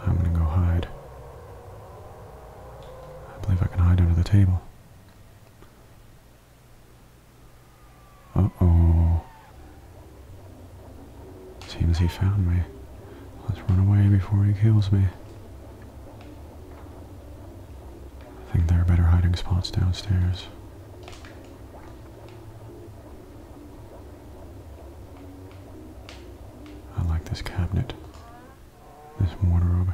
Speaker 1: I'm gonna go hide. I believe I can hide under the table. Uh-oh. Seems he found me. Let's run away before he kills me. I think there are better hiding spots downstairs. I like this cabinet. This wardrobe.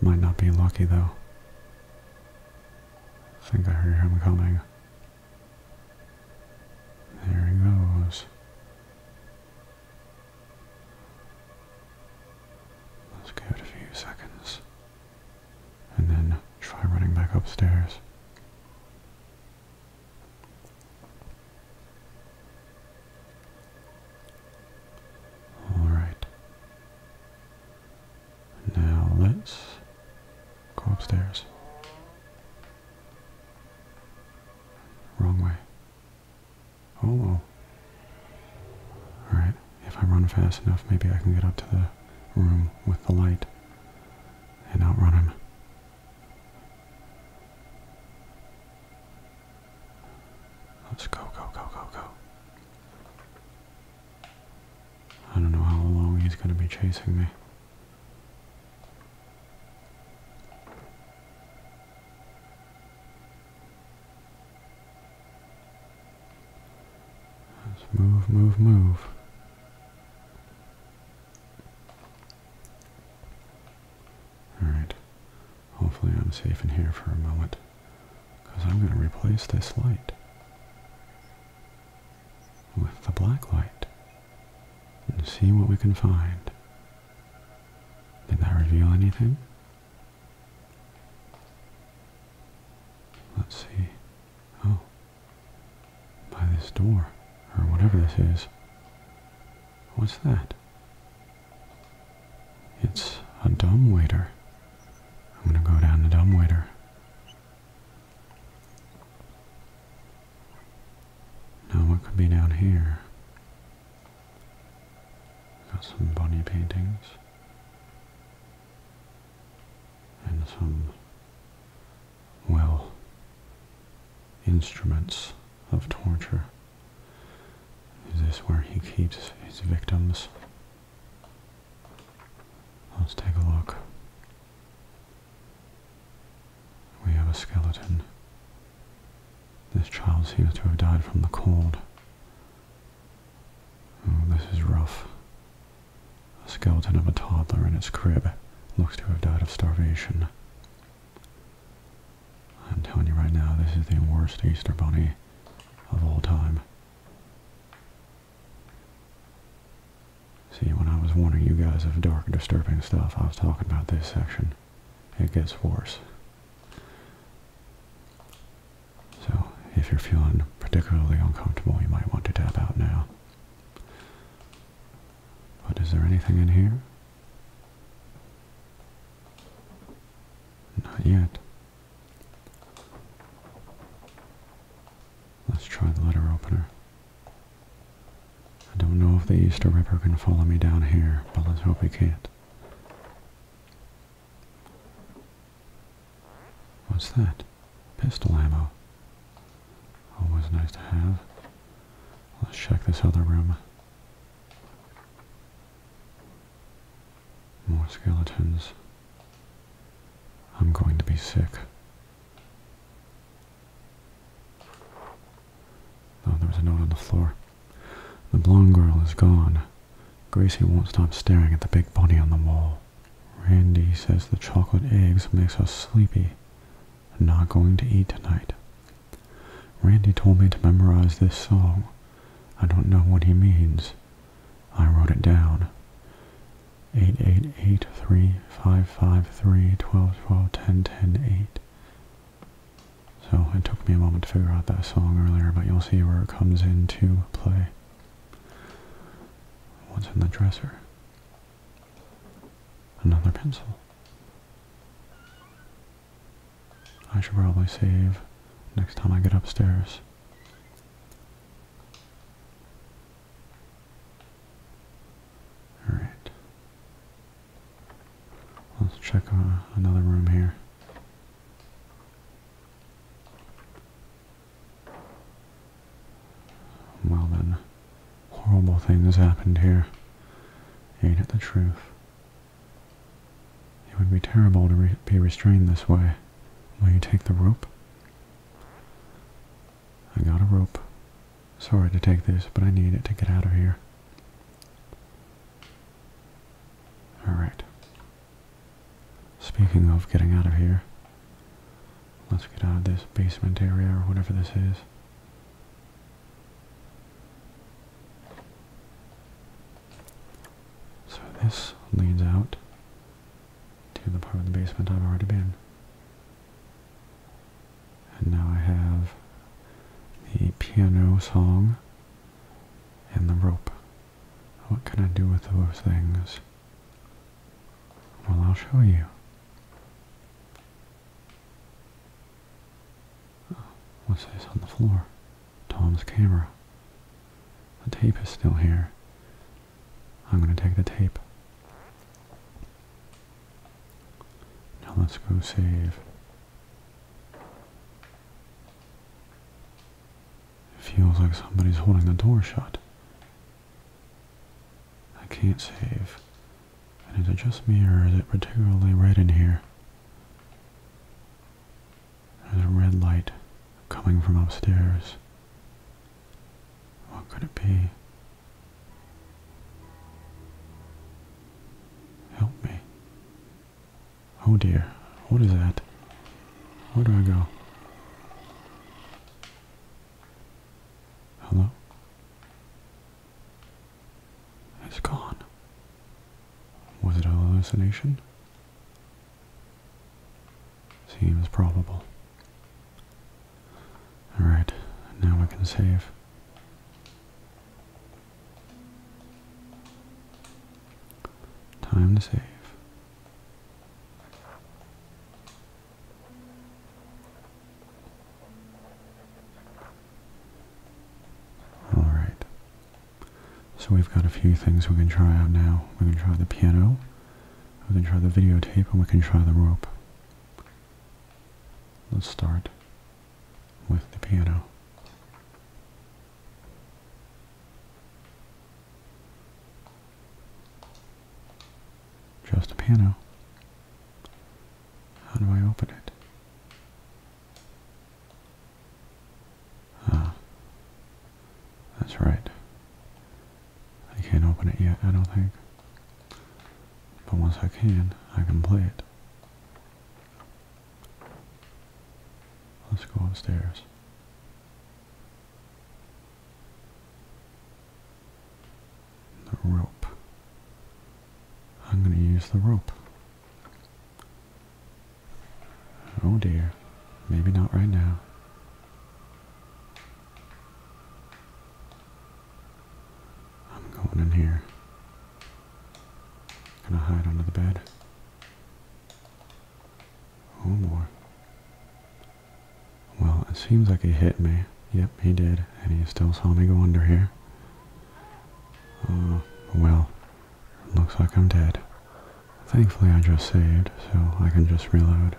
Speaker 1: Might not be lucky though. I think I hear him coming. There he goes. Let's give it a few seconds. And then try running back upstairs. Alright. Now let's go upstairs. Wrong way. Oh, oh. Alright, if I run fast enough, maybe I can get up to the room with the light and outrun him. Let's go, go, go, go, go. I don't know how long he's going to be chasing me. Let's move, move, move. Alright. Hopefully I'm safe in here for a moment. Because I'm going to replace this light with the black light and see what we can find. Did that reveal anything? Let's see. Oh. By this door, or whatever this is. What's that? It's a dumb waiter. I'm gonna go down the dumb waiter. Now what could be down here? Got some bunny paintings and some well instruments of torture. Is this where he keeps his victims? Let's take a look. We have a skeleton. This child seems to have died from the cold. Oh, this is rough. A skeleton of a toddler in its crib looks to have died of starvation. I'm telling you right now, this is the worst Easter Bunny of all time. See, when I was warning you guys of dark and disturbing stuff, I was talking about this section. It gets worse. So, if you're feeling particularly uncomfortable, you might want to tap out now. But is there anything in here? Not yet. Let's try the letter opener. I don't know if the Easter River can follow me down here, but let's hope he can't. What's that? Pistol ammo. Always nice to have. Let's check this other room. More skeletons. I'm going to be sick. Oh, there was a note on the floor. The blonde girl is gone. Gracie won't stop staring at the big body on the wall. Randy says the chocolate eggs makes us sleepy. Not going to eat tonight. Randy told me to memorize this song. I don't know what he means. I wrote it down. 888-355-3-12-12-10-10-8. So it took me a moment to figure out that song earlier, but you'll see where it comes into play. What's in the dresser? Another pencil. I should probably save next time I get upstairs. All right. Let's check on another room here. Well then, horrible things happened here. Ain't it the truth? It would be terrible to be restrained this way. Will you take the rope? I got a rope. Sorry to take this, but I need it to get out of here. Alright. Speaking of getting out of here, let's get out of this basement area or whatever this is. So this leads out to the part of the basement I've already been. And now I have the piano song and the rope. What can I do with those things? Well, I'll show you. What's this on the floor? Tom's camera. The tape is still here. I'm going to take the tape. Now let's go save. It feels like somebody's holding the door shut. I can't save. And is it just me or is it particularly red in here? There's a red light coming from upstairs. What could it be? Help me. Oh dear, what is that? Where do I go? Hello? It's gone. Was it a hallucination? Seems probable. Alright, now we can save. Time to save. Alright. So we've got a few things we can try out now. We can try the piano, we can try the videotape, and we can try the rope. Let's start with the piano. Just a piano. How do I open it? Ah. That's right. I can't open it yet, I don't think. But once I can, I can play it. Let's go upstairs. The rope. I'm going to use the rope. Oh dear. Maybe not right now. I'm going in here. Gonna hide under the bed. Oh more. Well, it seems like he hit me. Yep, he did. And he still saw me go under here. Oh, well. Looks like I'm dead. Thankfully I just saved, so I can just reload.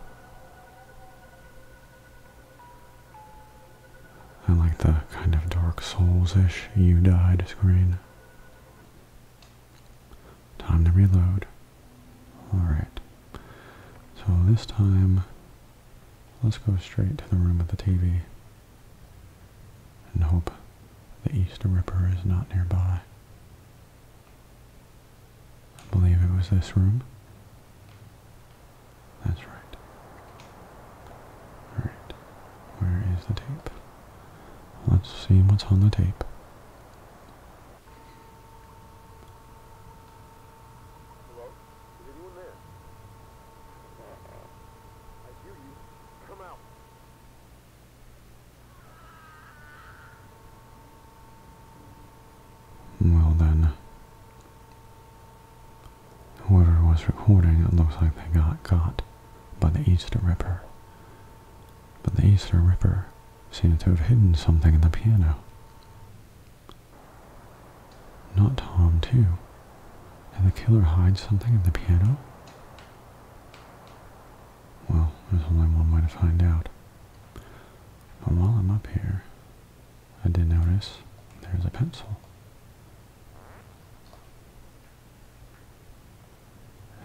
Speaker 1: I like the kind of Dark Souls-ish you died screen. Time to reload. Alright. So this time, let's go straight to the room with the TV. And hope the Easter Ripper is not nearby. I believe it was this room. That's right. Alright. Where is the tape? Let's see what's on the tape.
Speaker 2: Hello? Is anyone there? I hear you. Come out.
Speaker 1: Well then, whoever was recording, it looks like they got caught by the Easter Ripper. But the Easter Ripper seems to have hidden something in the piano. Not Tom, too. Did the killer hide something in the piano? Well, there's only one way to find out. But while I'm up here, I did notice there's a pencil.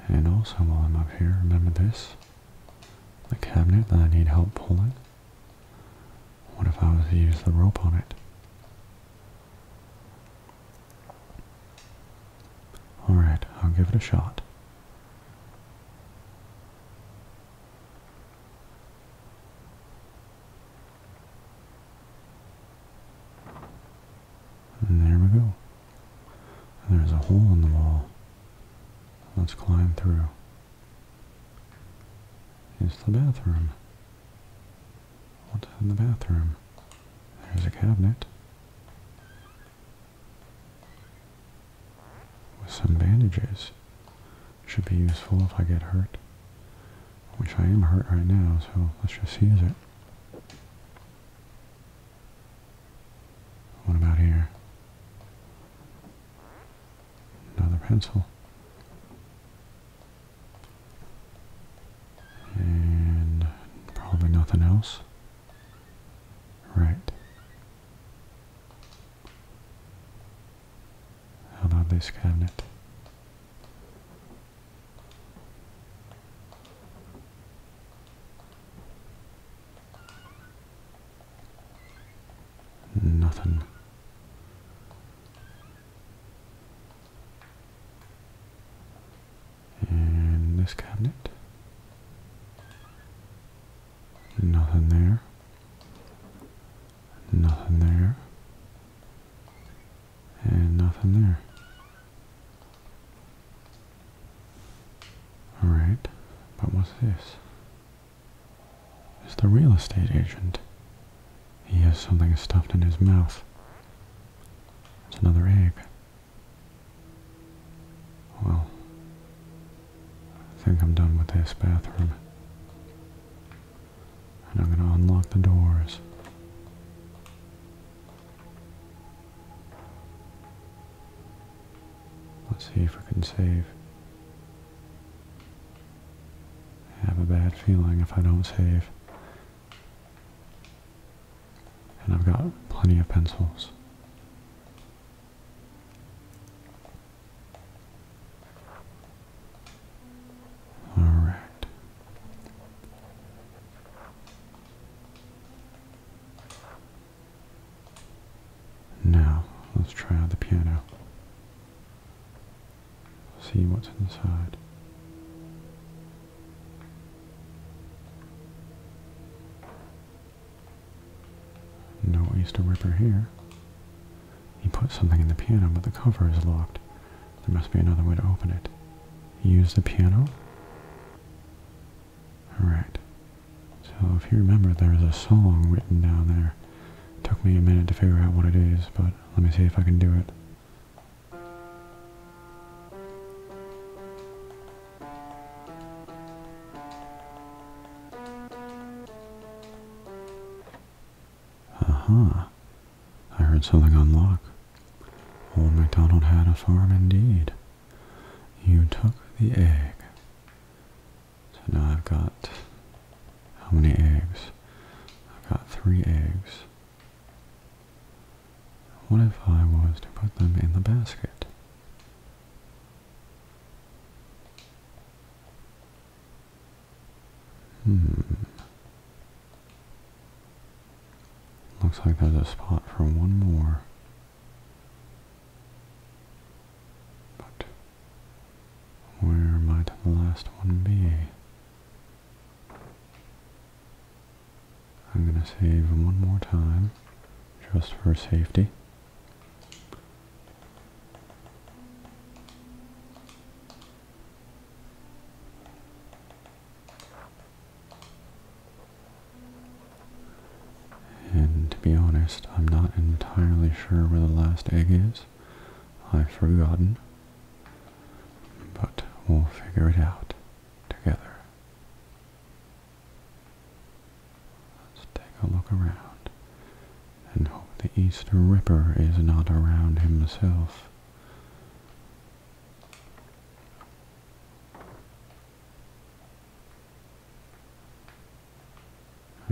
Speaker 1: And also while I'm up here, remember this? The cabinet that I need help pulling? What if I was to use the rope on it? Alright, I'll give it a shot. And there we go. There's a hole in the wall. Let's climb through. It's the bathroom. What's in the bathroom? There's a cabinet with some bandages. Should be useful if I get hurt, which I am hurt right now, so let's just use it. What about here? Another pencil. And probably nothing else. Right. How about this cabinet? Nothing. And this cabinet. Nothing there. Nothing there. And nothing there. Alright, but what's this? It's the real estate agent. He has something stuffed in his mouth. It's another egg. Well, I think I'm done with this bathroom. And I'm going to unlock the doors. Let's see if I can save. I have a bad feeling if I don't save. And I've got plenty of pencils. Alright. Now, let's try out the piano. See what's inside. No Easter Ripper here. He put something in the piano, but the cover is locked. There must be another way to open it. Use the piano? Alright. So if you remember, there's a song written down there. took me a minute to figure out what it is, but let me see if I can do it. Uh -huh. I heard something unlock. Old MacDonald had a farm indeed. You took the egg. So now I've got how many eggs? I've got three eggs. What if I was to put them in the basket? Hmm. Looks like there's a spot for one more. But where might the last one be? I'm going to save one more time just for safety. And to be honest, I'm not entirely sure where the last egg is. I've forgotten. But we'll figure it out together. Let's take a look around and hope the Easter Ripper is not around himself.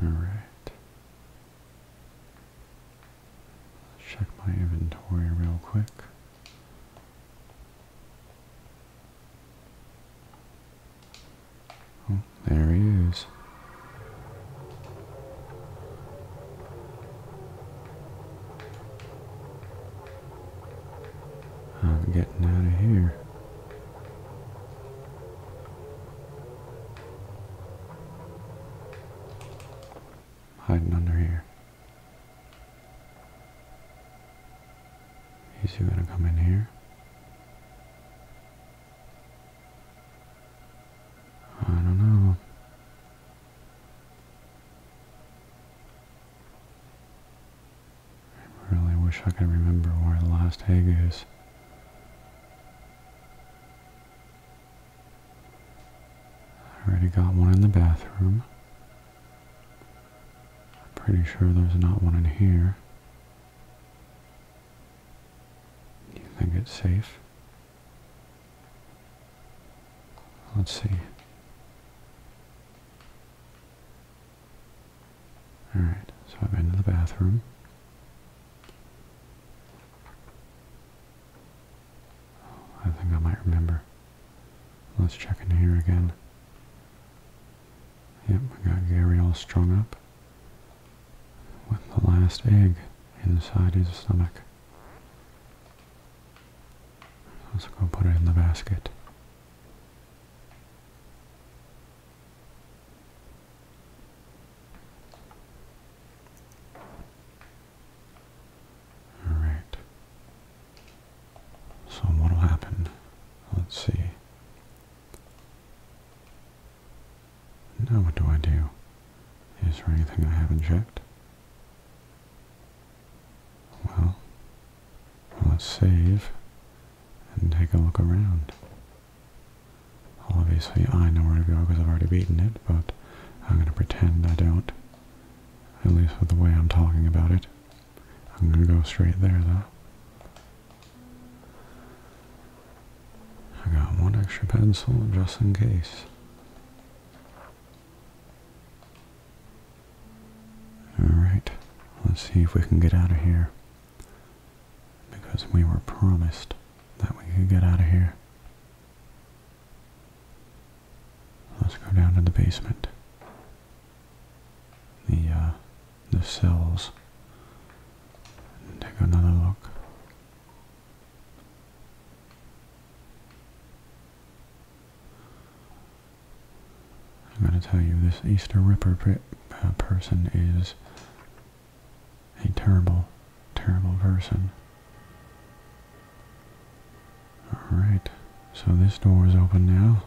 Speaker 1: Alright. Check my inventory real quick. Oh, there he is. I'm getting out of here. Hiding under here. Is he gonna come in here. I don't know. I really wish I could remember where the last egg is. I already got one in the bathroom. I'm pretty sure there's not one in here. Do you think it's safe? Let's see. Alright, so I'm into the bathroom. I think I might remember. Let's check in here again. Yep, we got Gary all strung up with the last egg inside his stomach. Let's go put it in the basket. Alright. So what'll happen? Let's see. Now what do I do? Is there anything I haven't checked? Well, let's save and take a look around. Obviously I know where to go because I've already beaten it, but I'm going to pretend I don't. At least with the way I'm talking about it. I'm gonna go straight there though. I got one extra pencil just in case. Alright, let's see if we can get out of here. Because we were promised that we could get out of here. Let's go down to the basement the uh, the cells take another look. I'm going to tell you this Easter Ripper uh, person is a terrible, terrible person. Alright, so this door is open now.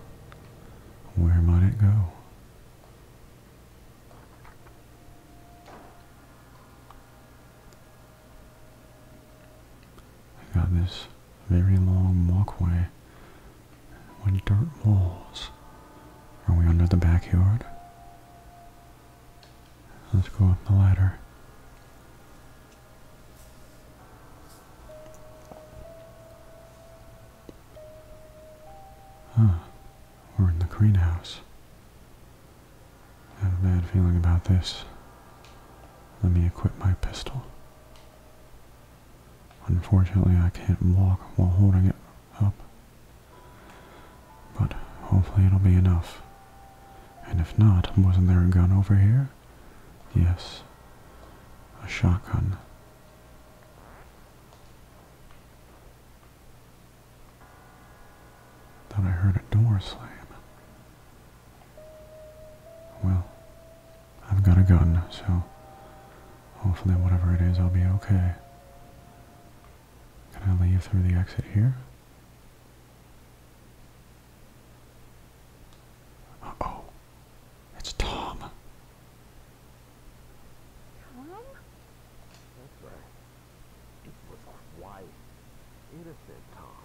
Speaker 1: Where might it go? I got this very long walkway with dirt walls. Are we under the backyard? Let's go up the ladder. Huh. We're in the greenhouse. I have a bad feeling about this. Let me equip my pistol. Unfortunately, I can't walk while holding it up. But hopefully it'll be enough. And if not, wasn't there a gun over here? Yes. A shotgun. Then I heard a door slam. Well, I've got a gun, so hopefully whatever it is, I'll be okay. Can I leave through the exit here? oh. It's Tom. Tom?
Speaker 2: That's right. It was quite Innocent Tom.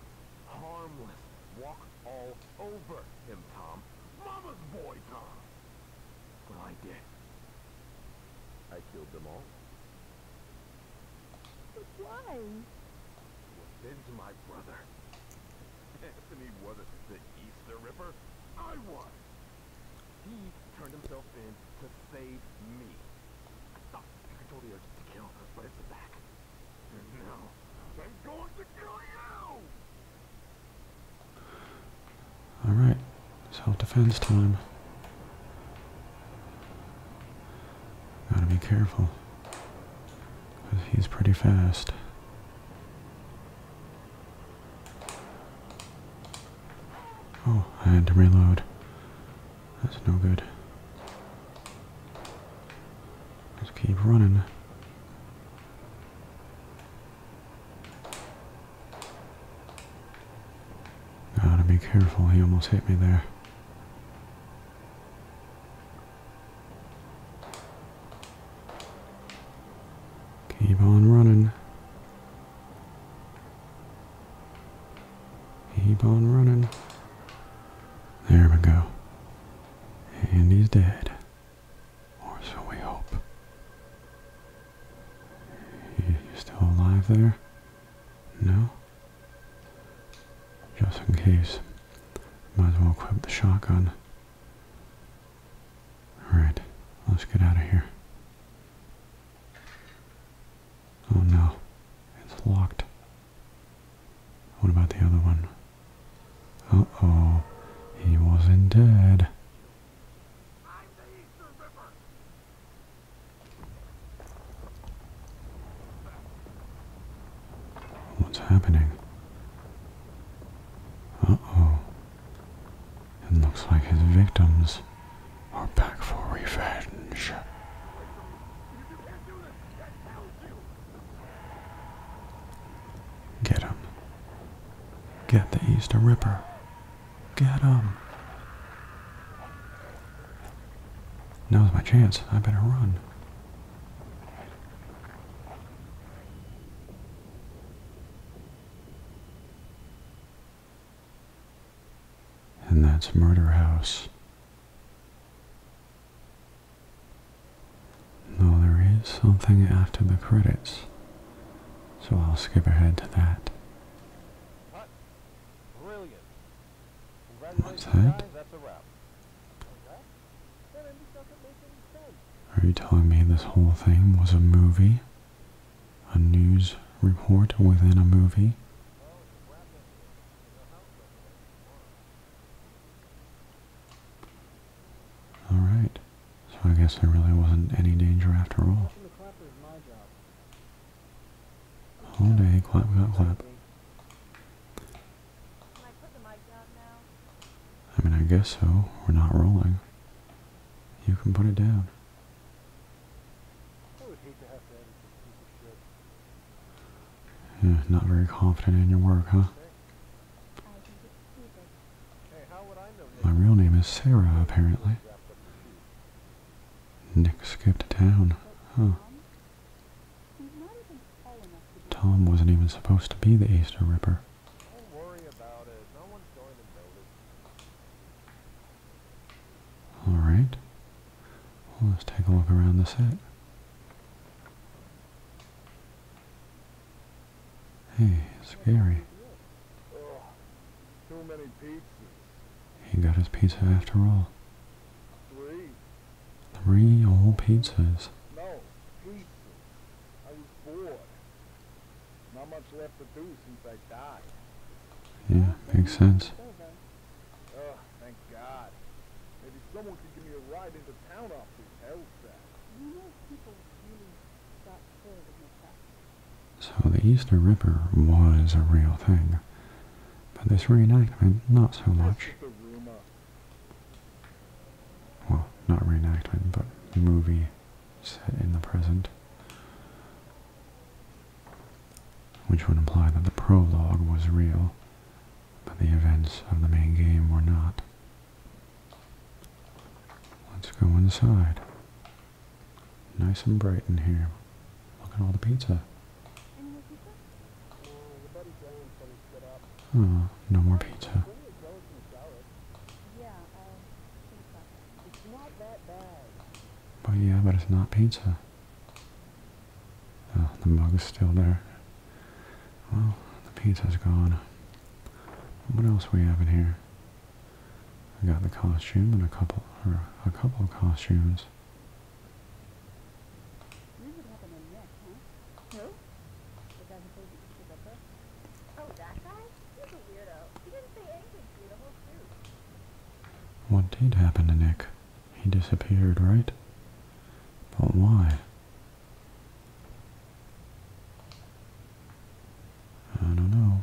Speaker 2: Harmless. Walked all over him, Tom. Mama's boy, Tom! Well, I did. I killed them all. But why? Then Revenge, my brother. Anthony wasn't the Easter Ripper. I was! He turned himself in to save me. I thought I told you to kill, him, but it's back. And now, I'm going to kill
Speaker 1: you! Alright, self-defense time. Gotta be careful. he's pretty fast. Oh, I had to reload. That's no good. Just keep running. Gotta be careful, he almost hit me there. Keep on running. Keep on running. There we go. And he's dead. Or so we hope. You still alive there? No? Just in case. Might as well equip the shotgun. Alright, let's get out of here. Oh no, it's locked. What about the other one? Uh-oh, he wasn't dead. What's happening? Uh-oh. It looks like his victims are back for revenge. Get him. Get the Easter Ripper. Get him. Now's my chance. I better run. And that's Murder House. No, there is something after the credits, so I'll skip ahead to that. What's that? Are you telling me this whole thing was a movie? A news report within a movie? Alright, so I guess there really wasn't any danger after all. All day, clap, clap, clap. I mean, I guess so. We're not rolling. You can put it down. Yeah, not very confident in your work, huh? My real name is Sarah, apparently. Nick skipped town, huh? Tom wasn't even supposed to be the Easter Ripper. Don't worry about it. No one's going to notice. Alright. let's take a look around the set. Hey, scary. He got his pizza after all. Three. Three pizzas. No, pizzas. I was bored. Not much left to do since I died. Yeah,
Speaker 2: makes sense. Oh, thank God. Maybe someone could give me a ride into town off this hellsack. You know people really got
Speaker 1: killed in the past. So the Easter River was a real thing. But this reenactment, not so much. Well, not reenactment, but movie set in the present, which would imply that the prologue was real, but the events of the main game were not. Let's go inside. Nice and bright in here. Look at all the pizza. Oh, no more pizza. It's not that bad. But yeah, but it's not pizza. Oh, the mug is still there. Well, the pizza's gone. What else we have in here? I got the costume and a couple, or a couple of costumes. What did happen to Nick? He disappeared, right? But why? I don't know.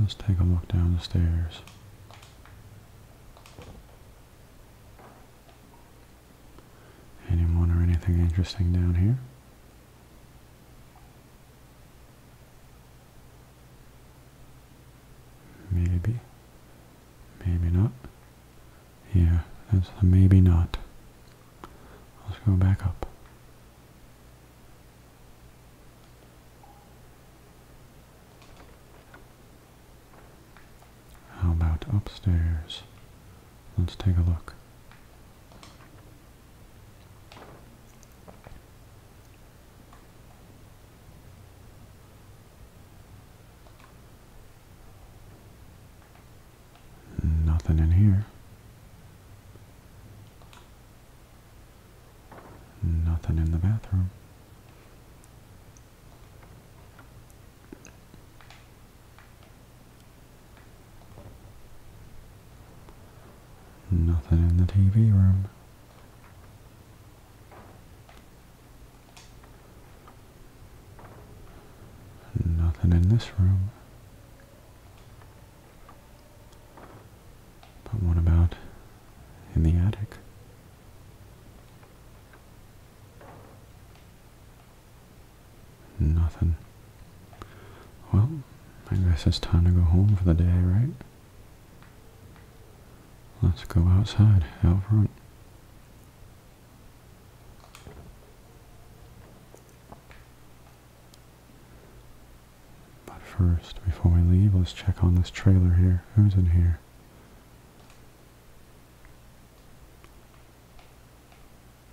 Speaker 1: Let's take a look down the stairs. Anyone or anything interesting down here? Maybe. Maybe not. Yeah, that's maybe not. Let's go back up. How about upstairs? Let's take a look. Nothing in here. Nothing in the bathroom. Nothing in the TV room. Nothing in this room. But what about in the attic? Nothing. Well, I guess it's time to go home for the day, right? Let's go outside, out front. But first, before we leave, let's check on this trailer here. Who's in here?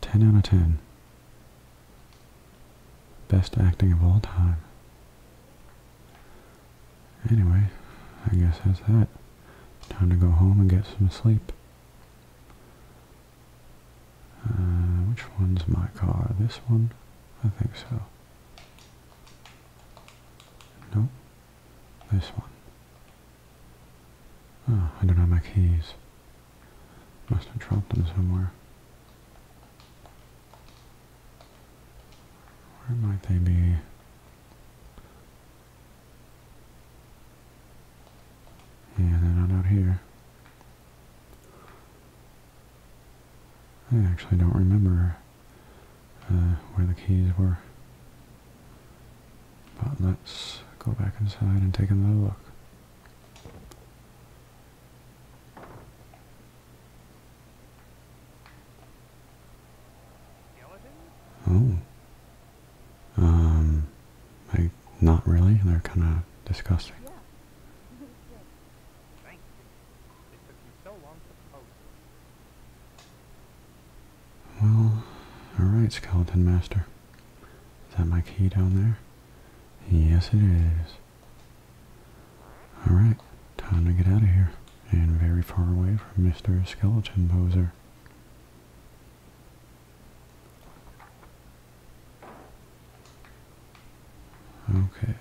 Speaker 1: 10 out of 10. Best acting of all time. Anyway, I guess that's that. Time to go home and get some sleep. Uh, which one's my car? This one? I think so. No, This one. Oh, I don't have my keys. Must have dropped them somewhere. Where might they be? Yeah, they're not out here. I actually don't remember uh, where the keys were. But let's go back inside and take another look. Oh. Um, I, not really. They're kind of disgusting. Well, alright, Skeleton Master. Is that my key down there? Yes, it is. Alright, time to get out of here. And very far away from Mr. Skeleton Poser. Okay,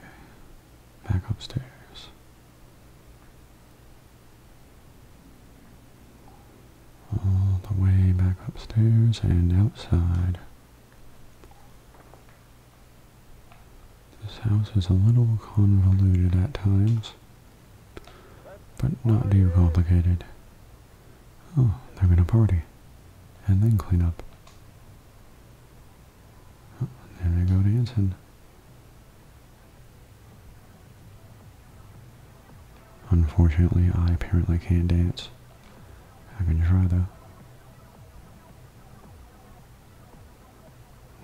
Speaker 1: back upstairs all the way back upstairs and outside. This house is a little convoluted at times, but not too complicated. Oh, they're gonna party, and then clean up. Oh, there they go dancing. Unfortunately, I apparently can't dance. I can try though.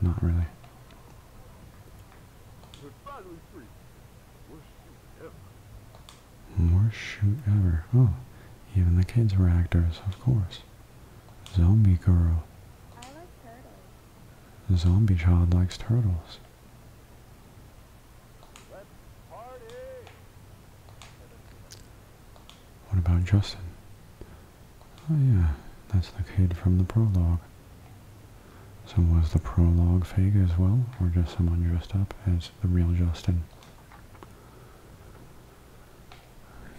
Speaker 1: Not really. we shoot ever. Oh, even the kids were actors, of course. Zombie girl. I like turtles. Zombie child likes turtles. What about Justin? Oh yeah, that's the kid from the prologue. So was the prologue fake as well, or just someone dressed up as the real Justin?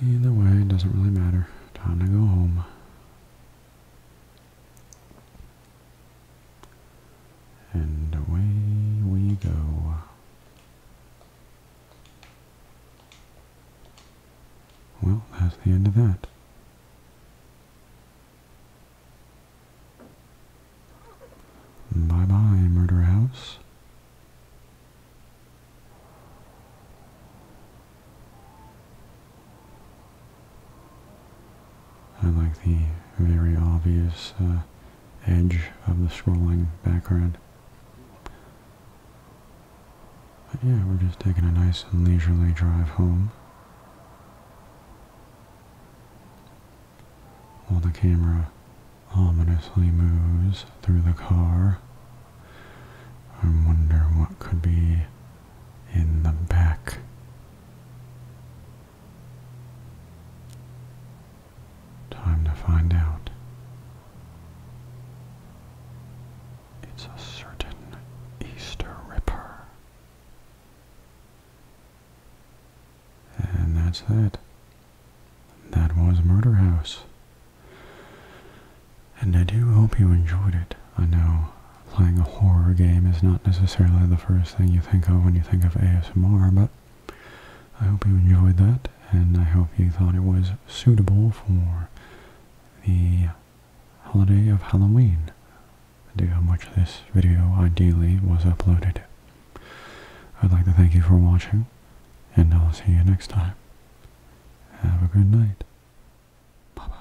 Speaker 1: Either way, it doesn't really matter. Time to go home. And away we go. Well, that's the end of that. Bye-bye, murder house. I like the very obvious uh, edge of the scrolling background. But yeah, we're just taking a nice and leisurely drive home. While the camera ominously moves through the car, I wonder what could be in the back. Time to find out. It's a certain Easter Ripper. And that's that. That was Murder House. And I do hope you enjoyed it. I know playing a horror game is not necessarily the first thing you think of when you think of ASMR, but I hope you enjoyed that, and I hope you thought it was suitable for the holiday of Halloween. I do how much this video ideally was uploaded. I'd like to thank you for watching, and I'll see you next time. Have a good night. Bye-bye.